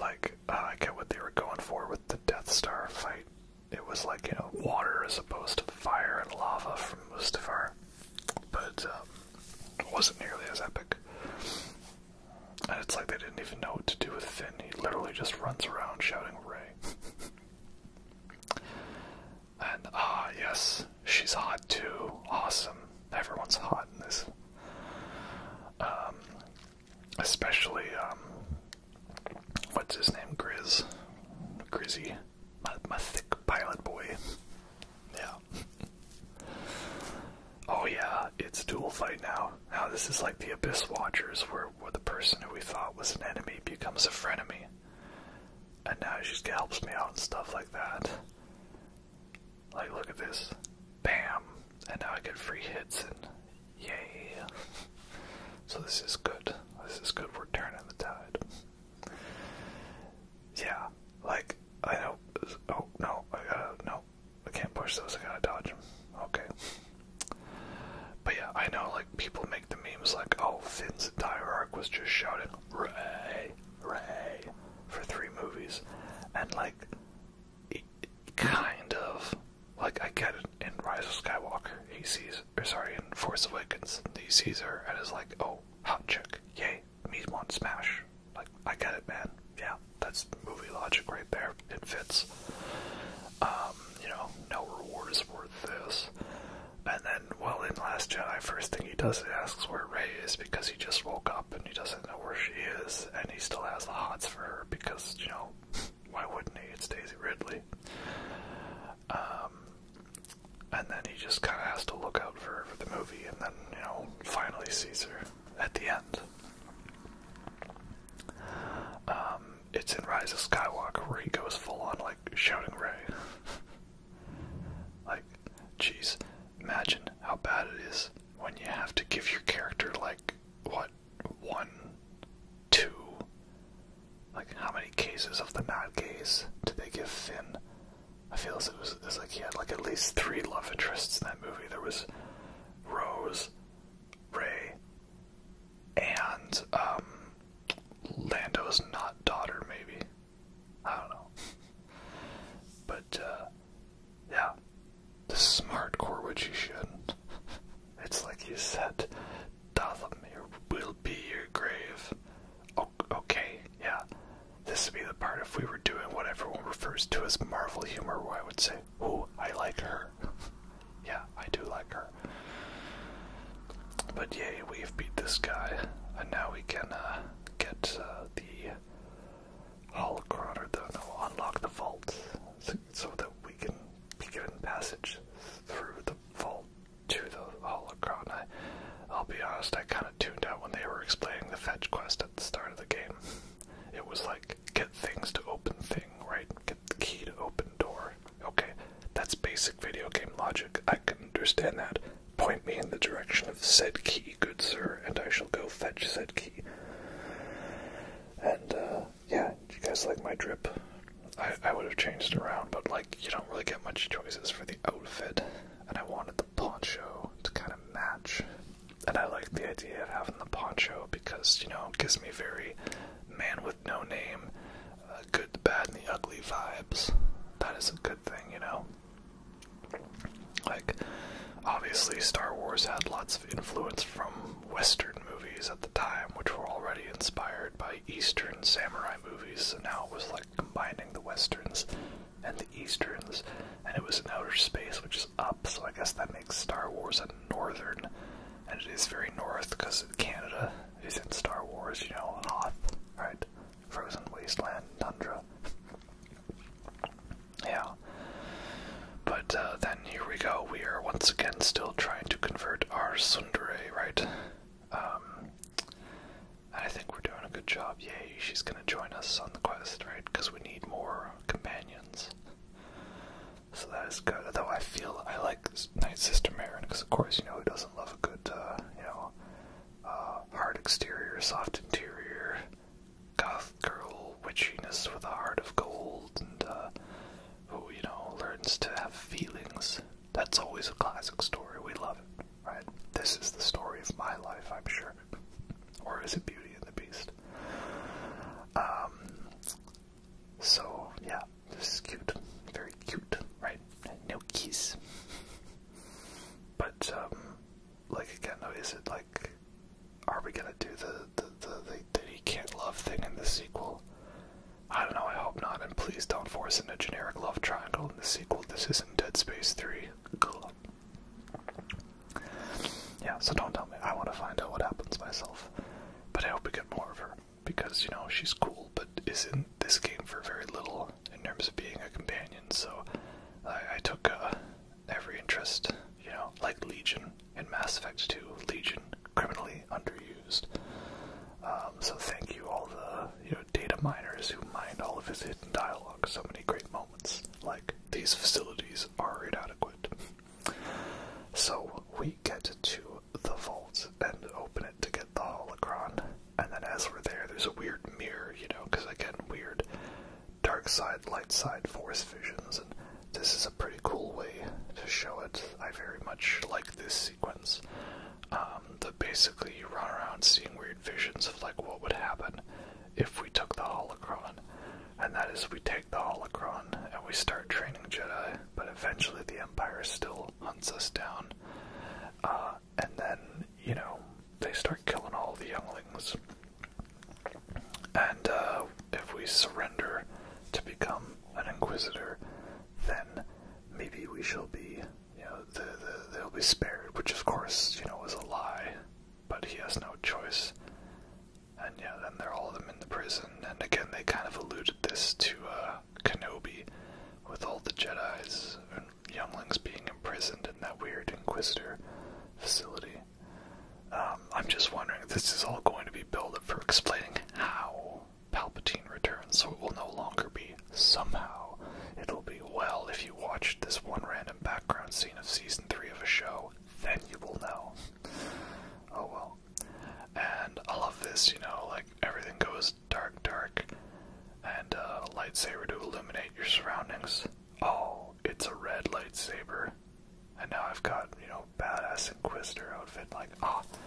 Like, uh, I get what they were going for with the Death Star fight. It was like, you know, water as opposed to fire and lava from Mustafar, but um, it wasn't nearly as epic. And it's like they didn't even know what to do with Finn. He literally just runs around shouting, Ray. (laughs) And ah, yes, she's hot too. Awesome. Everyone's hot in this. Um, especially um, what's his name, Grizz, Grizzy, my, my thick pilot boy. Yeah. (laughs) oh yeah, it's dual fight now. Now this is like the Abyss Watchers, where, where the person who we thought was an enemy becomes a frenemy and now she just helps me out and stuff like that. Like, look at this. Bam! And now I get free hits and yay. so this is good. This is good. We're turning the tide. Yeah, like, I know. Oh, no, no. I can't push those. I gotta dodge Okay. But yeah, I know, like, people make make the memes like, oh, Finn's entire arc was just shouting Ray, Ray for three movies, and like, kind of, like I get it in Rise of Skywalker, he sees, or sorry, in Force Awakens, he sees her and is like, oh, hot chick, yay, me want smash, like I get it, man, yeah, that's movie logic right there, it fits. Um, you know, no reward is worth this. And then, well, in Last Jedi, first thing he does, he asks where Ray is because he just woke up and he doesn't know where she is, and he still has the hots for her because, you know, why wouldn't he? It's Daisy Ridley. Um, and then he just kind of has to look out for her for the movie, and then, you know, finally sees her at the end. Um, it's in Rise of Skywalker where he goes full on, like, shouting Ray. (laughs) Like, jeez, imagine how bad it is when you have to give your character, like, what, one, two? Like, how many cases of the not gays did they give Finn? I feel as it was like he had, like, at least three love interests in that movie. There was Rose, Ray, and, um, Lando's not daughter, maybe. I don't know. but uh yeah. The smart core which you shouldn't. It's like you said, Dothamir will be your grave. okay, yeah. This would be the part if we were doing what everyone refers to as Marvel humor where I would say, Ooh, I like her. (laughs) yeah, I do like her. But yay, we've beat this guy, and now we can uh, get uh, the Holocron, or the, unlock the vault, so, that we can be given passage through the vault to the Holocron. I, I'll be honest, I kind of tuned out when they were explaining the fetch quest at the start of the game. It was like, get things to open thing, right? Get the key to open door, Okay, that's basic video game logic. I can understand that. Point me in the direction of said key, good sir, and I shall go fetch said key. And, uh, yeah, you guys like my drip? I, I would have changed around, but, like, you don't really get much choices for the outfit. And I wanted the poncho to kind of match. And I like the idea of having the poncho because, you know, gives me very man with no name, uh, good, the bad, and the ugly vibes. That is a good thing, you know? Like, obviously, Star Wars had lots of influence from Western movies at the time, which were already inspired by Eastern samurai movies, so now it was like combining the Westerns and the Easterns, and it was in outer space, which is up, so I guess that makes Star Wars a northern, and it is very north because Canada is in Star Wars, you know, Hoth, right? frozen wasteland, tundra. yeah. But uh, then here we go. We are once again still trying to convert our Sundere, right? Um, and I think we're doing a good job. Yay, she's gonna join us on the quest, right? Because we need more companions. So that is good. Though I feel I like Night Sister Marian, because of course you know he doesn't love a good, uh, you know, uh, hard exterior, soft interior, goth girl witchiness with a heart of gold, and uh, who, you know, learns to have feelings. That's always a classic story. We love it, right? This is the story of my life, I'm sure. (laughs) or is it Beauty and the Beast? Um, so, yeah, this is cute. Very cute, right? no keys. but um, like again, is it like, are we gonna do the the the, the, the he can't love thing in the sequel? I don't know. I hope not, and please don't force in a generic love triangle in the sequel. This isn't Dead Space Three. Cool. Yeah, so don't tell me. I want to find out what happens myself. But I hope we get more of her because you know she's cool, but is in this game for very little in terms of being a companion. So I, took uh, every interest, you know, like Legion in Mass Effect 2, Legion criminally underused. Um, so thank you all the you know data miners who mined all of his hidden dialogue. So many great moments. Like these facilities are inadequate. So we get to the vault and open it to get the holocron. And then as we're there, there's a weird mirror, you know, because again, weird dark side, light side force visions, and this is a pretty cool way to show it. I very much like this sequence. Um, that basically you run around seeing weird visions of like what would happen if we took the holocron. And that is we take the holocron and we start training Jedi, but eventually the Empire still hunts us down. Uh, and then, you know, they start killing all the younglings. And uh, if we surrender to become an inquisitor, then maybe we shall be, you know, they'll be spared, which of course, you know, is a lie. But he has no choice. And yeah, then they're all of them in the prison. And again, they kind of alluded this to uh, Kenobi with all the Jedi's and younglings being imprisoned in that weird Inquisitor facility. Um, I'm just wondering, this is all going to be built up for explaining how Palpatine returns, so it will no longer be somehow. It'll be, well, if you watched this one random background scene of season 3 of a show, then you will know. Oh well. And I love this, you know, like everything goes dark, dark, and a uh, lightsaber to illuminate your surroundings. Oh, it's a red lightsaber, and now I've got you know badass Inquisitor outfit. Like, ah, oh,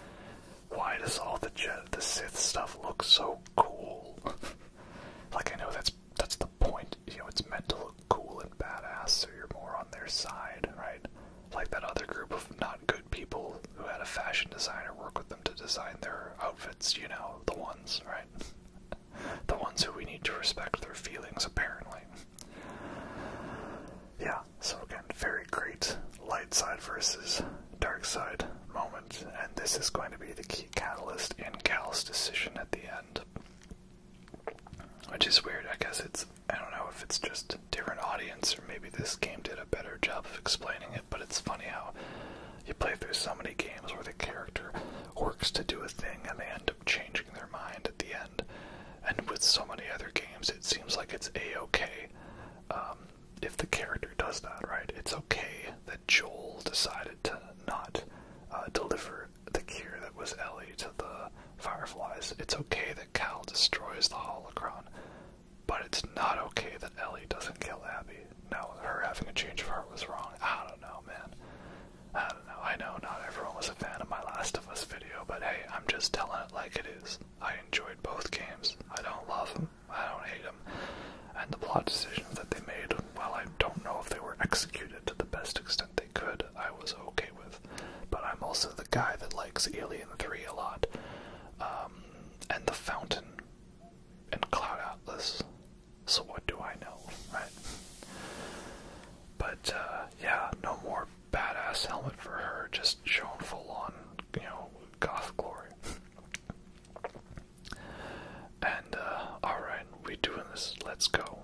why does all the Je the Sith stuff look so cool? (laughs) like, I know that's that's the point. You know, it's meant to look cool and badass, so you're more on their side, right? Like that other group of not good people who had a fashion designer work with them to design their outfit it's, you know, the ones, right? (laughs) the ones who we need to respect their feelings, apparently. Yeah, so again, very great light side versus dark side moment, and this is going to be the key catalyst in Cal's decision at the end. Which is weird, I guess it's, I don't know if it's just different audience, or maybe this game did a better job of explaining it but it's funny how you play through so many games where the character works to do a thing and they end up changing their mind at the end. And with so many other games, it seems like it's a okay um, if the character does that, right? It's okay that Joel decided to not uh, deliver the cure that was Ellie to the Fireflies. It's okay that Cal destroys the holocron. But it's not okay that Ellie doesn't kill Abby. No, her having a change of heart was wrong. I don't know, man. I don't know. I know not everyone was a fan of my Last of Us video, but hey, I'm just telling it like it is. I enjoyed both games. I don't love them. I don't hate them. And the plot decisions that they made, while I don't know if they were executed to the best extent they could, I was okay with. But I'm also the guy that likes Alien 3 a lot. Um, and The Fountain and Cloud Atlas. So what do I know, right? But uh, yeah, no more badass helmet for her. Just shown full on, you know, goth glory. and uh, all right, we doing this. Let's go.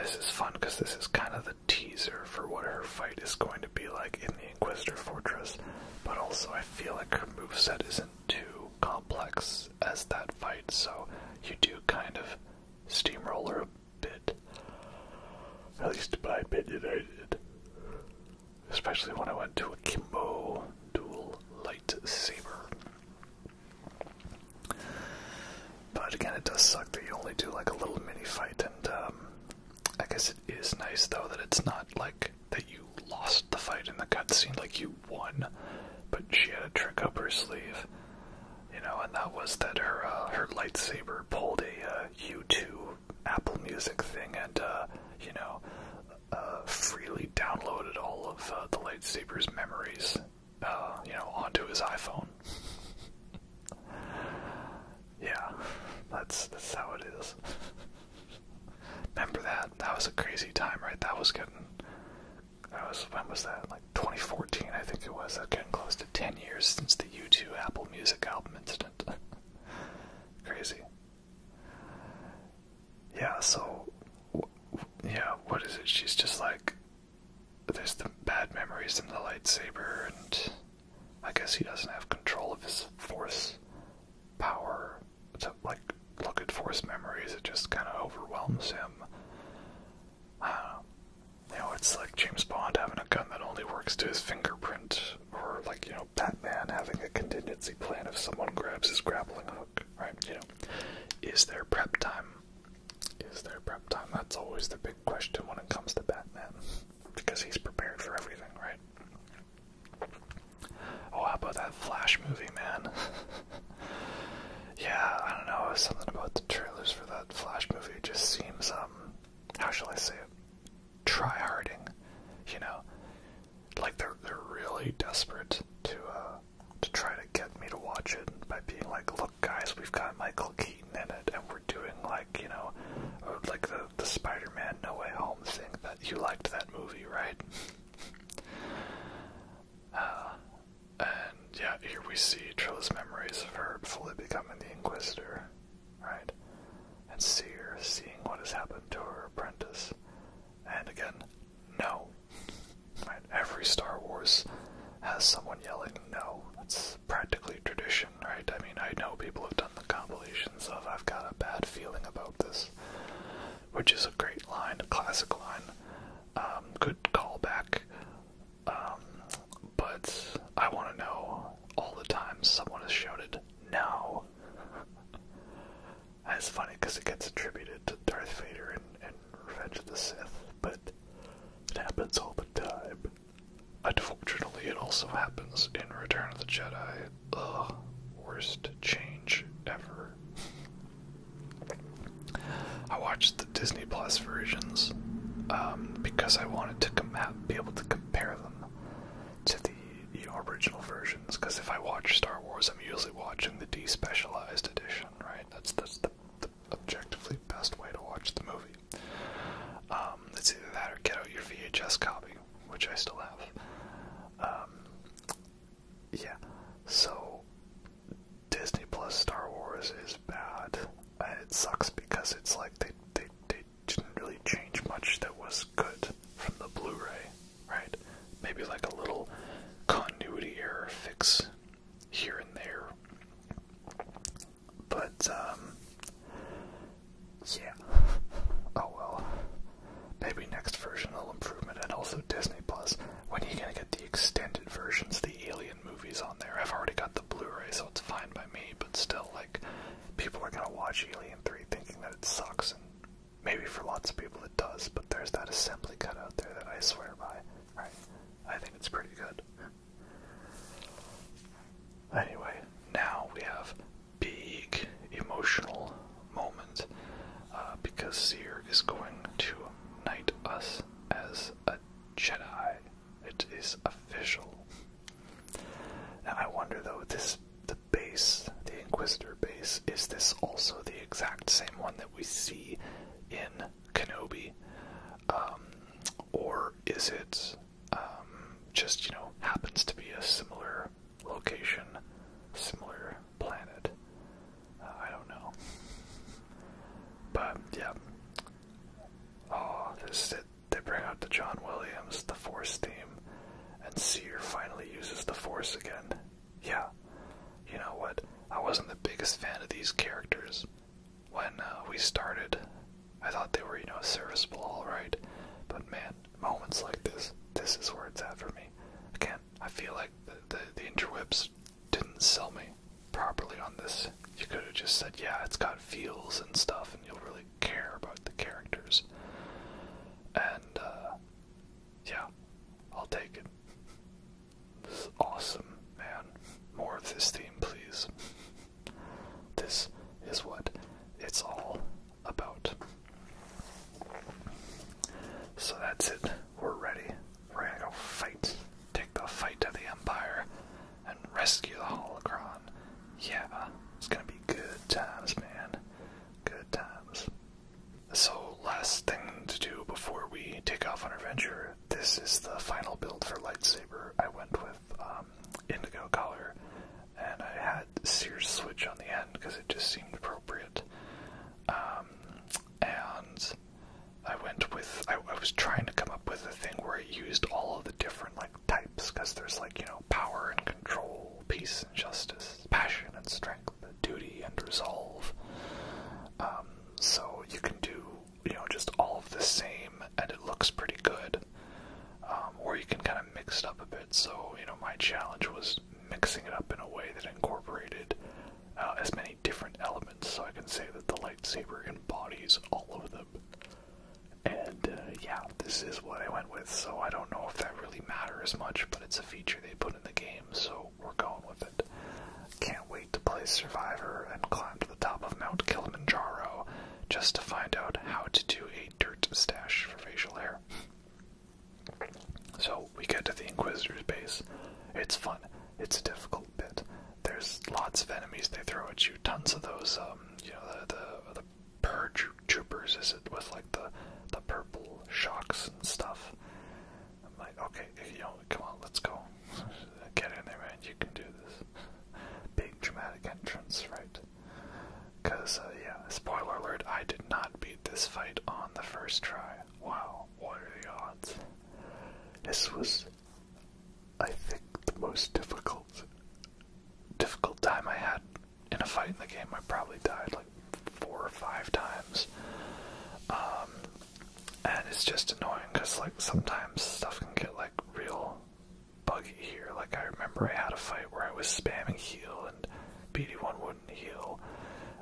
This is fun because this is kind of the teaser for what her fight is going to be like in the Inquisitor Fortress, but also I feel like her moveset isn't too complex as that fight, so you do kind of steamroller a bit. At least by opinion, I did. Especially when I went to a Kimbo dual lightsaber. But again, it does suck that you only do like a little mini fight, and um, I guess it is nice though that it's not like that you lost the fight in the cutscene, like you won, but she had a trick up her sleeve, you know, and that was that her uh, her lightsaber pulled a uh, 2 Apple Music thing and, uh, you know, uh, freely downloaded all of the lightsaber's memories, you know, onto his iPhone. (laughs) yeah, that's that's how it is. (laughs) Remember that? That was a crazy time, right? That was getting. That was when was that? Like 2014, I think it was. That getting close to 10 years since the U2 Apple Music album incident. (laughs) crazy. Yeah. So, yeah. What is it? She's just like. There's the bad memories and the lightsaber, and I guess he doesn't have control of his force power to like look at forced memories. It just kind of overwhelms him. Uh, you know, it's like James Bond having a gun that only works to his fingerprint, or like you know Batman having a contingency plan if someone grabs his grappling hook. Right? You know, is there prep time? Is there prep time? That's always the big question when it comes to Batman, because he's prepared for everything, right? Oh, how about that Flash movie, man? (laughs) yeah, I don't know. Something about the trailers for that Flash movie just seems, um, how shall I say it? Try-harding, you know? Like they're they're really desperate to uh, to try to get me to watch it by being like, look, guys, we've got Michael Keaton in it, and we're doing like you know, uh, like the the Spider-Man No Way Home thing that you liked that movie, right? (laughs) Uh, and yeah, here we see Trilla's memories of her fully becoming the Inquisitor, right? And Seer seeing what has happened to her apprentice. And again, no. Right? Every Star Wars has someone yelling no. It's practically tradition, right? I mean, I know people have done the compilations of I've got a bad feeling about this which is a great line, a classic line, um, good callback. Um, but I want to know all the times someone has shouted "No." That's funny because it gets attributed to Darth Vader and, and Revenge of the Sith, but it happens all the time. Unfortunately, it also happens in Return of the Jedi ugh, worst change ever. I watched the Disney Plus versions um, because I wanted to be able to compare them to the original versions. Because if I watch Star Wars, I'm usually watching the despecialized edition, right? That's the, objectively best way to watch the movie. Let's um, either that or get out your VHS copy, which I still have. Um, yeah, so Disney Plus Star Wars is bad. And it sucks because it's like they they they didn't really change much that was good from the Blu-ray, right? Maybe like a little continuity error fix here and there. But um yeah. (laughs) Oh well. Maybe next version will improvement and also Disney Plus. When are you gonna get the extended versions, the alien movies on there? I've already got the Blu-ray, so it's fine by me, but still like people are gonna watch Alien 3 thinking that it sucks and maybe for lots of people it does, but there's that assembly cut out there that I swear by. Right. I think it's pretty good. Anyway, now we have big emotional moment uh, because Seer is going to knight us as a Jedi. It is official. And I wonder though, this the base, the Inquisitor base, is this also the exact same one that we see in Kenobi, um, or is it um, just you know happens to be a similar location, similar planet. Uh, I don't know. But yeah. Oh, this is it. They bring out the John Williams, the Force theme, and Seer finally uses the Force again. Yeah, you know what? I wasn't the biggest fan of these characters when uh, we started. I thought they were, you know, serviceable, alright. But man, moments like this, this is where it's at for me. Again, I feel like the, the, interwebs didn't sell me properly on this. You could have just said, yeah, it's got feels and stuff, and you'll really care about the characters. And, uh, yeah, I'll take it. This is awesome, man. More of this theme, please. This is what it's all about. So that's it. We're ready. We're gonna go fight. Take the fight to the Empire and rescue the Holocron. Yeah, it's gonna be good times, man. Good times. So, last thing to do before we take off on our venture, this is the final build for lightsaber. I went with um, indigo color, and I had Sears switch on the end because it just seemed appropriate um, and I went with I, I was trying to come up with a thing where I used all of the different like types because there's like you know power and control, peace and justice, passion and strength, duty and resolve. Um, so you can do you know just all of the same and it looks pretty good, um, or you can kind of mix it up a bit. So you know my challenge was mixing it up in a way that incorporated uh, as many different elements, so I can say that the lightsaber embodies all of them. And uh, yeah, this is what I went with, so I don't know if that really matters much, but it's a feature they put in the game, so we're going with it. Can't wait to play Survivor and climb to the top of Mount Kilimanjaro just to find out how to do a dirt stash for facial hair. So we get to the Inquisitor's base. It's fun. It's a difficult bit. There's lots of enemies they throw at you. Tons of those, um, you know, the the, the purge troopers. Is it with like the the purple shocks and stuff? I'm like, okay, you know, come on, let's go. (laughs) Get in there, and You can do this. (laughs) Big dramatic entrance, right? Because, uh, yeah, spoiler alert, I did not beat this fight on the first try. Wow, what are the odds? This was, I think, the most difficult, difficult time I had in a fight in the game. I probably died like four or five times. Um, and it's just annoying because, like, sometimes stuff can get like real buggy here. Like, I remember I had a fight where I was spamming heal and BD1 wouldn't heal,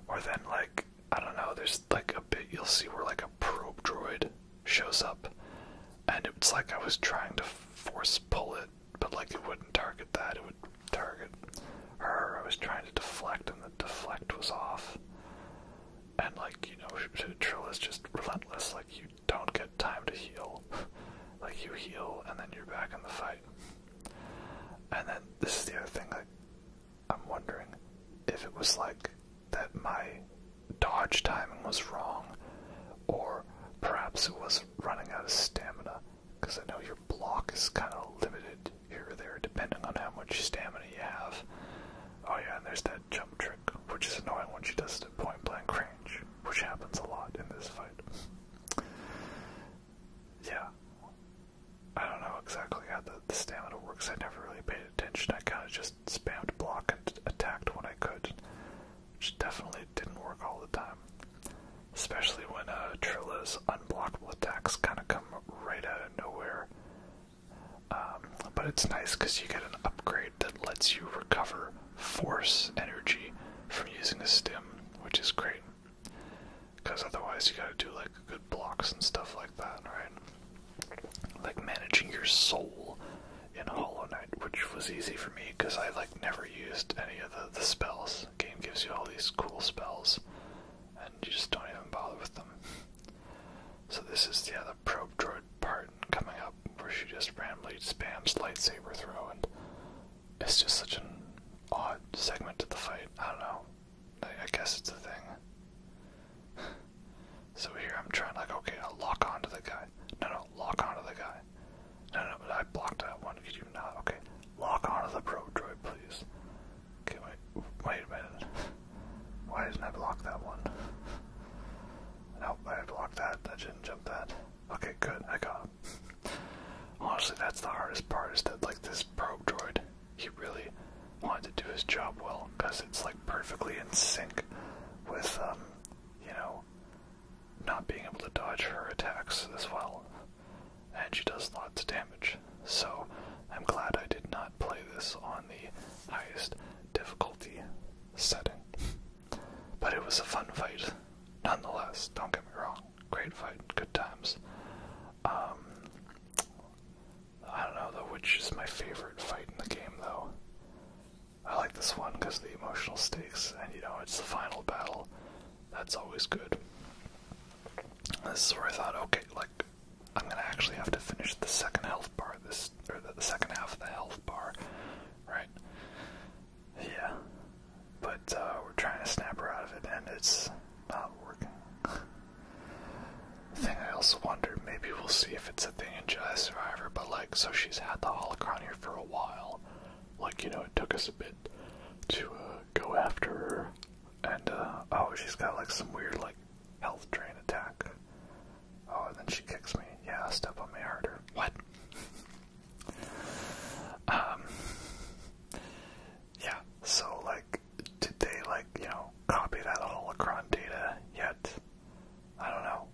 or then like I don't know, there's like a bit you'll see where like a probe droid shows up, and it's like I was trying to force pull it, but like it wouldn't target that, it would target her. I was trying to deflect, and the deflect was off. And like you know, is just relentless. Like you don't get time to heal. (laughs) like you heal, and then you're back in the fight. And then this is the other thing. Like I'm wondering if it was like that my dodge timing was wrong, or perhaps it was running out of stamina, because I know your block is kind of limited here or there depending on how much stamina you have. Oh, yeah, and there's that jump trick, which is annoying when she does the point blank cringe, which happens a lot in this fight. Yeah, I don't know exactly how the, stamina works. I never really paid attention. I kind of just spammed block and attacked when I could, which definitely didn't work all the time. Especially when uh, Trilla's unblockable attacks kind of come right out of nowhere. Um, but it's nice because you get an upgrade that lets you recover force energy from using a stim, which is great. Because otherwise, you gotta do like good blocks and stuff like that, right? Like managing your soul in Hollow Knight, which was easy for me because I like never used any of the, the spells. game gives you all these cool spells, and you just don't even bother with them. So this is yeah, the probe droid part coming up where she just randomly spams lightsaber throw, and it's just such an odd segment to the fight. I don't know. I, guess it's a thing. (sighs) so here I'm trying like, okay, I'll lock to the guy. No, no, lock on to the guy. No, no, but I blocked that one. Could you not? Okay, lock on to the probe droid, please. Okay, wait, wait a minute. (laughs) Why didn't I block that one? Nope, I blocked that. I didn't jump that. Okay, good. I got (laughs) Honestly, that's the hardest part is that like this probe droid he really wanted to do his job well because it's like perfectly in sync with um, you know not being able to dodge her attacks as well and she does lots of damage so i'm glad i did not play this on the highest difficulty setting but it was a fun fight nonetheless don't get me wrong great fight, good times. Um, I don't know though which is my favorite fight in the game though. I like this one because the emotional stakes, and you know it's the final battle. That's always good. This is where I thought, okay, like I'm gonna actually have to finish the second health bar, this or the, the second half of the health bar, right? Yeah, but uh, we're trying to snap her out of it, and it's not working. (laughs) thing I also wonder, maybe we'll see if it's a thing in Jedi Survivor, but like, so she's had the holocron here for a while. Like, you know, it took us a bit to uh, go after her. And, uh, oh, she's got like some weird, like, health drain attack. Oh, and then she kicks me. Yeah, step on me harder. What? (laughs) um, yeah, so like, did they like you know copy that holocron data yet? I don't know.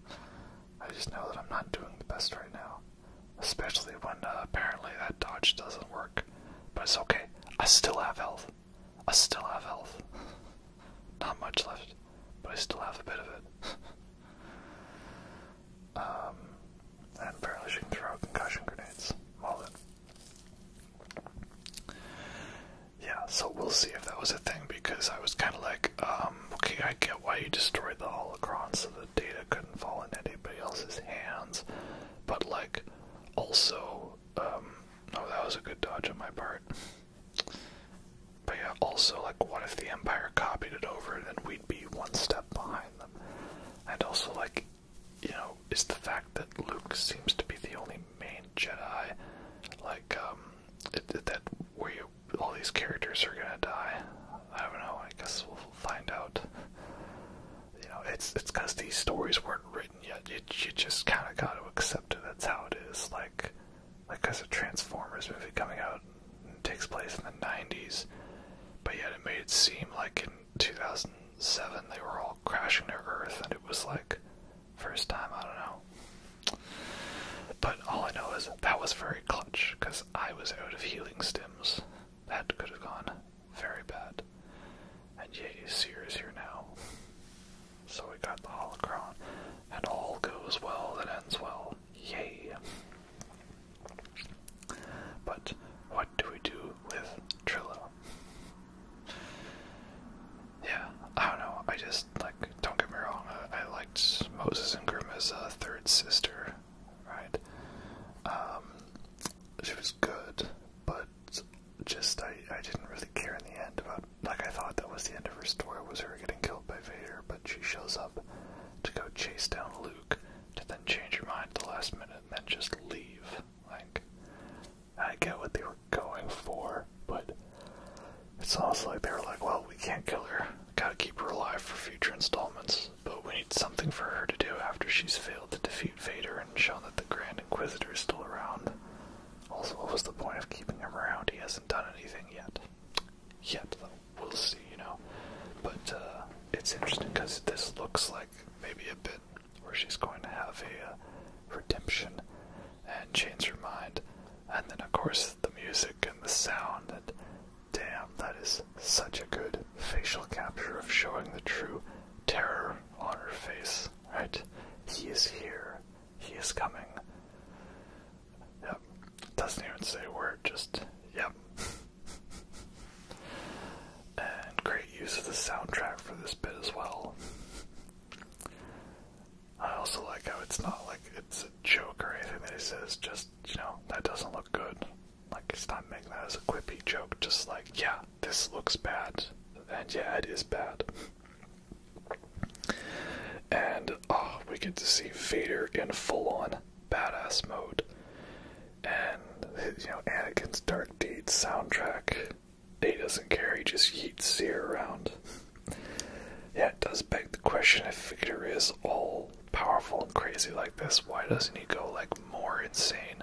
(laughs) I just know that I'm not doing the best right now, especially when uh, apparently that dodge doesn't work. But it's okay. I still have health. I still have health. (laughs) Not much left, but I still have a bit of it. (laughs) um, and apparently, she can throw concussion grenades. Well then. Yeah, so we'll see if that was a thing because I was kind of like, um, okay, I get why you destroyed the holocron so the data couldn't fall in anybody else's hands, but like, also, um, that was a good dodge on my part. But yeah, also, like, what if the Empire copied it over and then we'd be one step behind them? And also, like, you know, is the fact that Luke seems to be the only main Jedi. Like, um, it, that where all these characters are gonna die. I don't know. I guess we'll find out. You know, it's it's because these stories weren't written yet. You, you just kind of got to accept it. That's how it is. Like, like as a Transformers movie coming out takes place in the '90s, but yet it made it seem like 2007 they were all crashing to Earth, and it was like first time I don't know. But all I know is that was very clutch because I was out of healing stims. That could have gone very bad. And yay, Seer is here now. So we got the holocron, and all goes well that ends well. Yay. But what do we do with Trillo? Yeah, I don't know. I just like don't get me wrong. I, liked Moses Ingram's uh, third sister, right? Um, she was good, but just I I didn't really care in the end about like I thought that was the end of her story was her getting killed by Vader, but she shows up to go chase down Luke to then change her mind at the last minute and then just leave. Like, I get what they were going for, but it's also like they are like, well, we can't kill her. Gotta keep her alive for future installments, but we need something for her to do after she's failed to defeat Vader and show that the Grand Inquisitor is still around. Also, what was the point of keeping him around? He hasn't done anything yet. Yet, We'll see, you know. But, uh, it's interesting because this looks like maybe a bit where she's going to have a uh, redemption and change her mind. And then, of course, the music and the sound. And damn, that is such a good facial capture of showing the true terror on her face, right? He is here. He is coming. Yep. Doesn't even say a word, just, yep. (laughs) And great use of the soundtrack for this bit as well. I also like how it's not like it's a joke or anything that he says, just, you know, that doesn't look good. Like, it's not making that as a quippy joke, just like, yeah, this looks bad. And yeah, it is bad. And, oh, we get to see Vader in full on badass mode. And, you know, Anakin's Dark Deeds soundtrack he doesn't carry just yeets Seer around. yeah, it does beg the question if Victor is all powerful and crazy like this, why doesn't he go like more insane?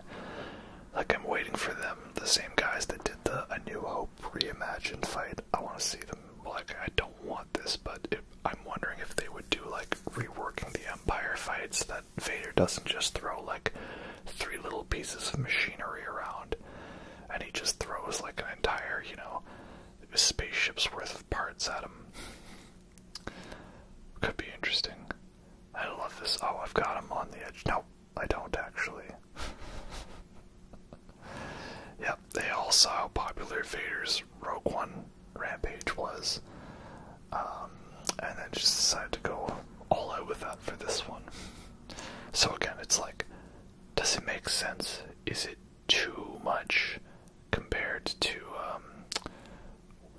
Like I'm waiting for them, the same guys that did the A New Hope reimagined fight. I want to see them. Like I don't want this, but I'm wondering if they would do like reworking the Empire fights that Vader doesn't just throw like three little pieces of machinery around, and he just throws like an entire, you know, spaceship's worth of parts at him. Could be interesting. I love this. Oh, I've got him on the edge. No, I don't actually. (laughs) yep, they all saw how popular Vader's Rogue One rampage was. Um, and then just decided to go all out with that for this one. So again, it's like, does it make sense? Is it too much compared to, um,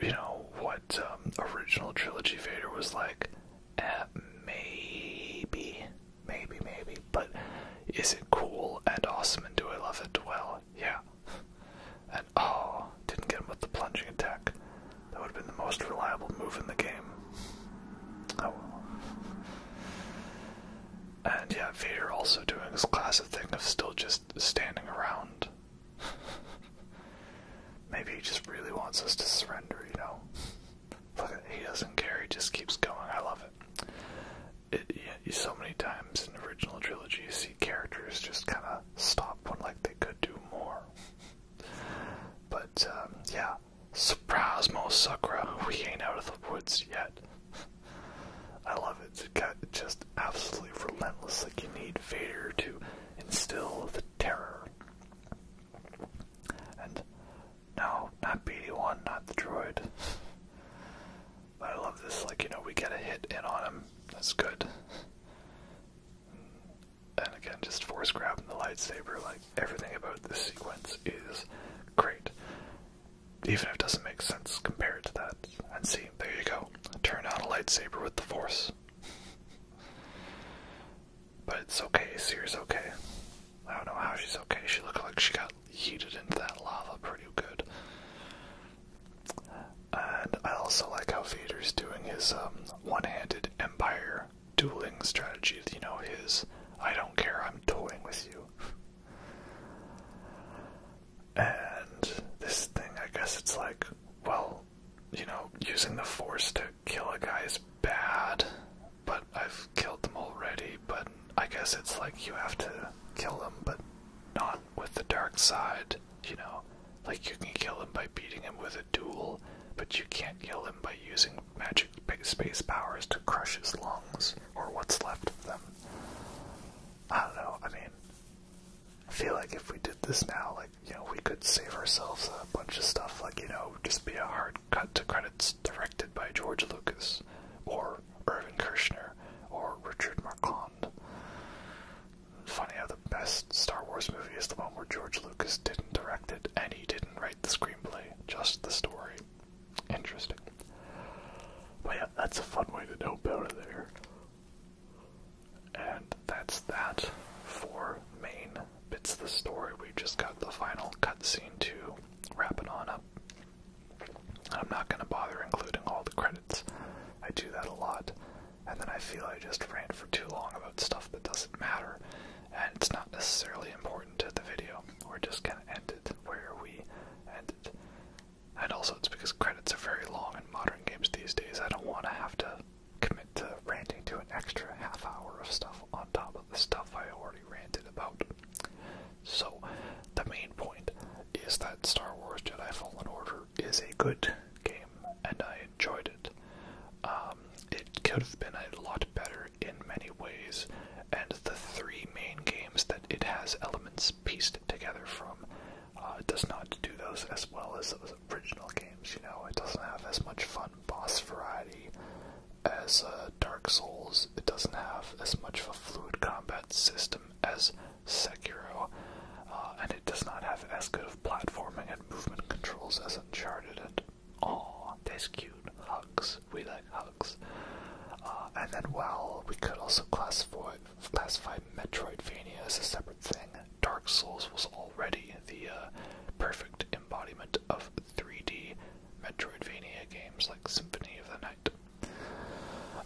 you know, what um, original trilogy Vader was like? Eh, maybe, maybe, maybe. But is it cool and awesome and do I love it? Well, yeah. And oh, didn't get him with the plunging attack. That would have been the most reliable move in the game. Oh And yeah, Vader also doing his classic thing of still just standing around. (laughs) Maybe he just really wants us to surrender, you know? Look, he doesn't care, he just keeps going. I love it. It, yeah, so many times in the original trilogy, you see characters just kind of stop when like they could do more. But um, yeah, surprise, most Sakura, we ain't out of the woods yet. I love it. It got just absolutely relentless. Like you need Vader to instill the terror. And no, not BD1, not the droid. But I love this. Like you know, we get a hit in on him. That's good. And again, just force grabbing the lightsaber, like everything about this sequence is great. Even if it doesn't make sense compared to that. And see, there you go. Turn on a lightsaber with the force. but it's okay, Seer's okay. I don't know how she's okay. She looked like she got heated into that lava pretty good. And I also like how Vader's doing his um, one handed empire dueling strategy, you know, his I don't care, I'm toying with you. and this thing, I guess it's like, well, you know, using the force to kill a guy is bad, but I've killed them already, but I guess it's like you have to kill them, but not with the dark side, you know. Like, you can kill him by beating him with a duel, but you can't kill him by using magic space powers to crush his lungs, or what's left of them. I don't know, I mean, I feel like if we did this now, like, you know, we could save ourselves a bunch of stuff, like, you know, just be a hard cut to credits directed by George Lucas, or Irvin Kershner, or Richard Marquand. Funny how best Star Wars movie is the one where George Lucas didn't direct it and he didn't write the screenplay, just the story. Interesting. But yeah, that's a fun way to know better there. And that's that for main bits of the story. We just got the final cutscene to wrapping on up. I'm not going to bother including all the credits. I do that a lot, and then I feel I just rant for too long about stuff that doesn't matter, and it's not necessarily important to the video. We're just gonna end it where we ended. And also, it's because credits are very long in modern games these days. I don't want to have to commit to ranting to an extra half hour of stuff on top of the stuff I already ranted about. So, the main point is that Star Wars Jedi Fallen Order is a good game, and I enjoyed it. Um, it could have been a lot better in many ways, and the three main games that it has elements pieced together from uh, does not do those as well as those original games. You know, it doesn't have as much fun boss variety as uh, Dark Souls. It doesn't have as much of a fluid combat system as Sekiro, uh, and it does not have as good of platforming and movement controls as Uncharted Oh, that's cute. Hugs. We like hugs. Uh, and then well, we could also classify Metroidvania as a separate thing, Dark Souls was already the uh, perfect embodiment of 3D Metroidvania games like Symphony of the Night.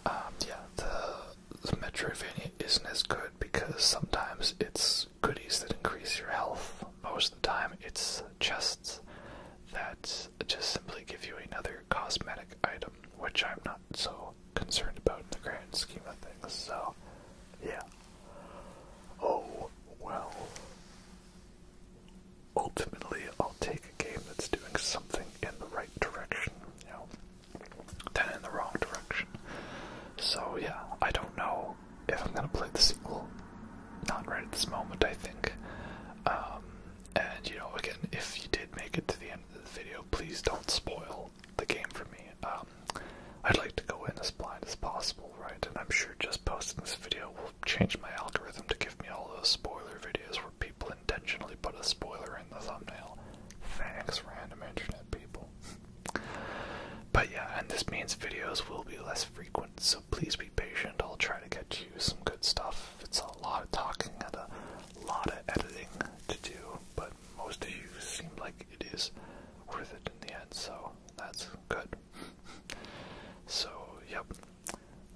Um, yeah, the, the Metroidvania isn't as good because sometimes it's goodies that increase your health. Most of the time, it's chests that just simply give you another cosmetic item, which I'm not so concerned about in the grand scheme of things. So, yeah. Oh, well. Ultimately, I'll take a game that's doing something in the right direction, you know, than in the wrong direction. So, yeah, I don't know if I'm gonna play the sequel, not right at this moment, I think. Um, and you know, again, if you did make it to the end of the video, please don't spoil the game for me. Um, I'd like to go in as blind as possible, right? And I'm sure just posting this video will change my algorithm to give me all those spoiler videos where people intentionally put a spoiler in the thumbnail. Thanks, random internet people. (laughs) But yeah, and this means videos will be less frequent, so please be patient. I'll try to get you some good stuff. It's a lot of talking and a lot of editing to do, but most of you seem like it is worth it in the end, so that's good. so, yep.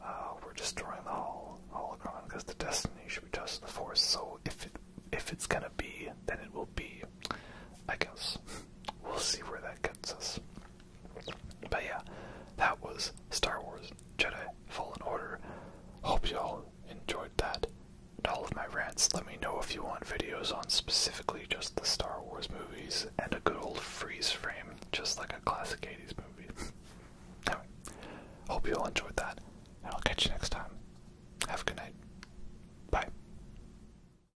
Uh, we're destroying the whole holocron because the destiny should be just the force. So if it if it's gonna be, then it will be. I guess (laughs) we'll see where that gets us. But yeah, that was Star Wars Jedi Fallen Order. Hope y'all enjoyed that and all of my rants. Let me know if you want videos on specifically just the Star Wars movies and a good old freeze frame, just like a classic 80s movie. (laughs) anyway, hope you all enjoyed that, and I'll catch you next time. Have a good night. Bye.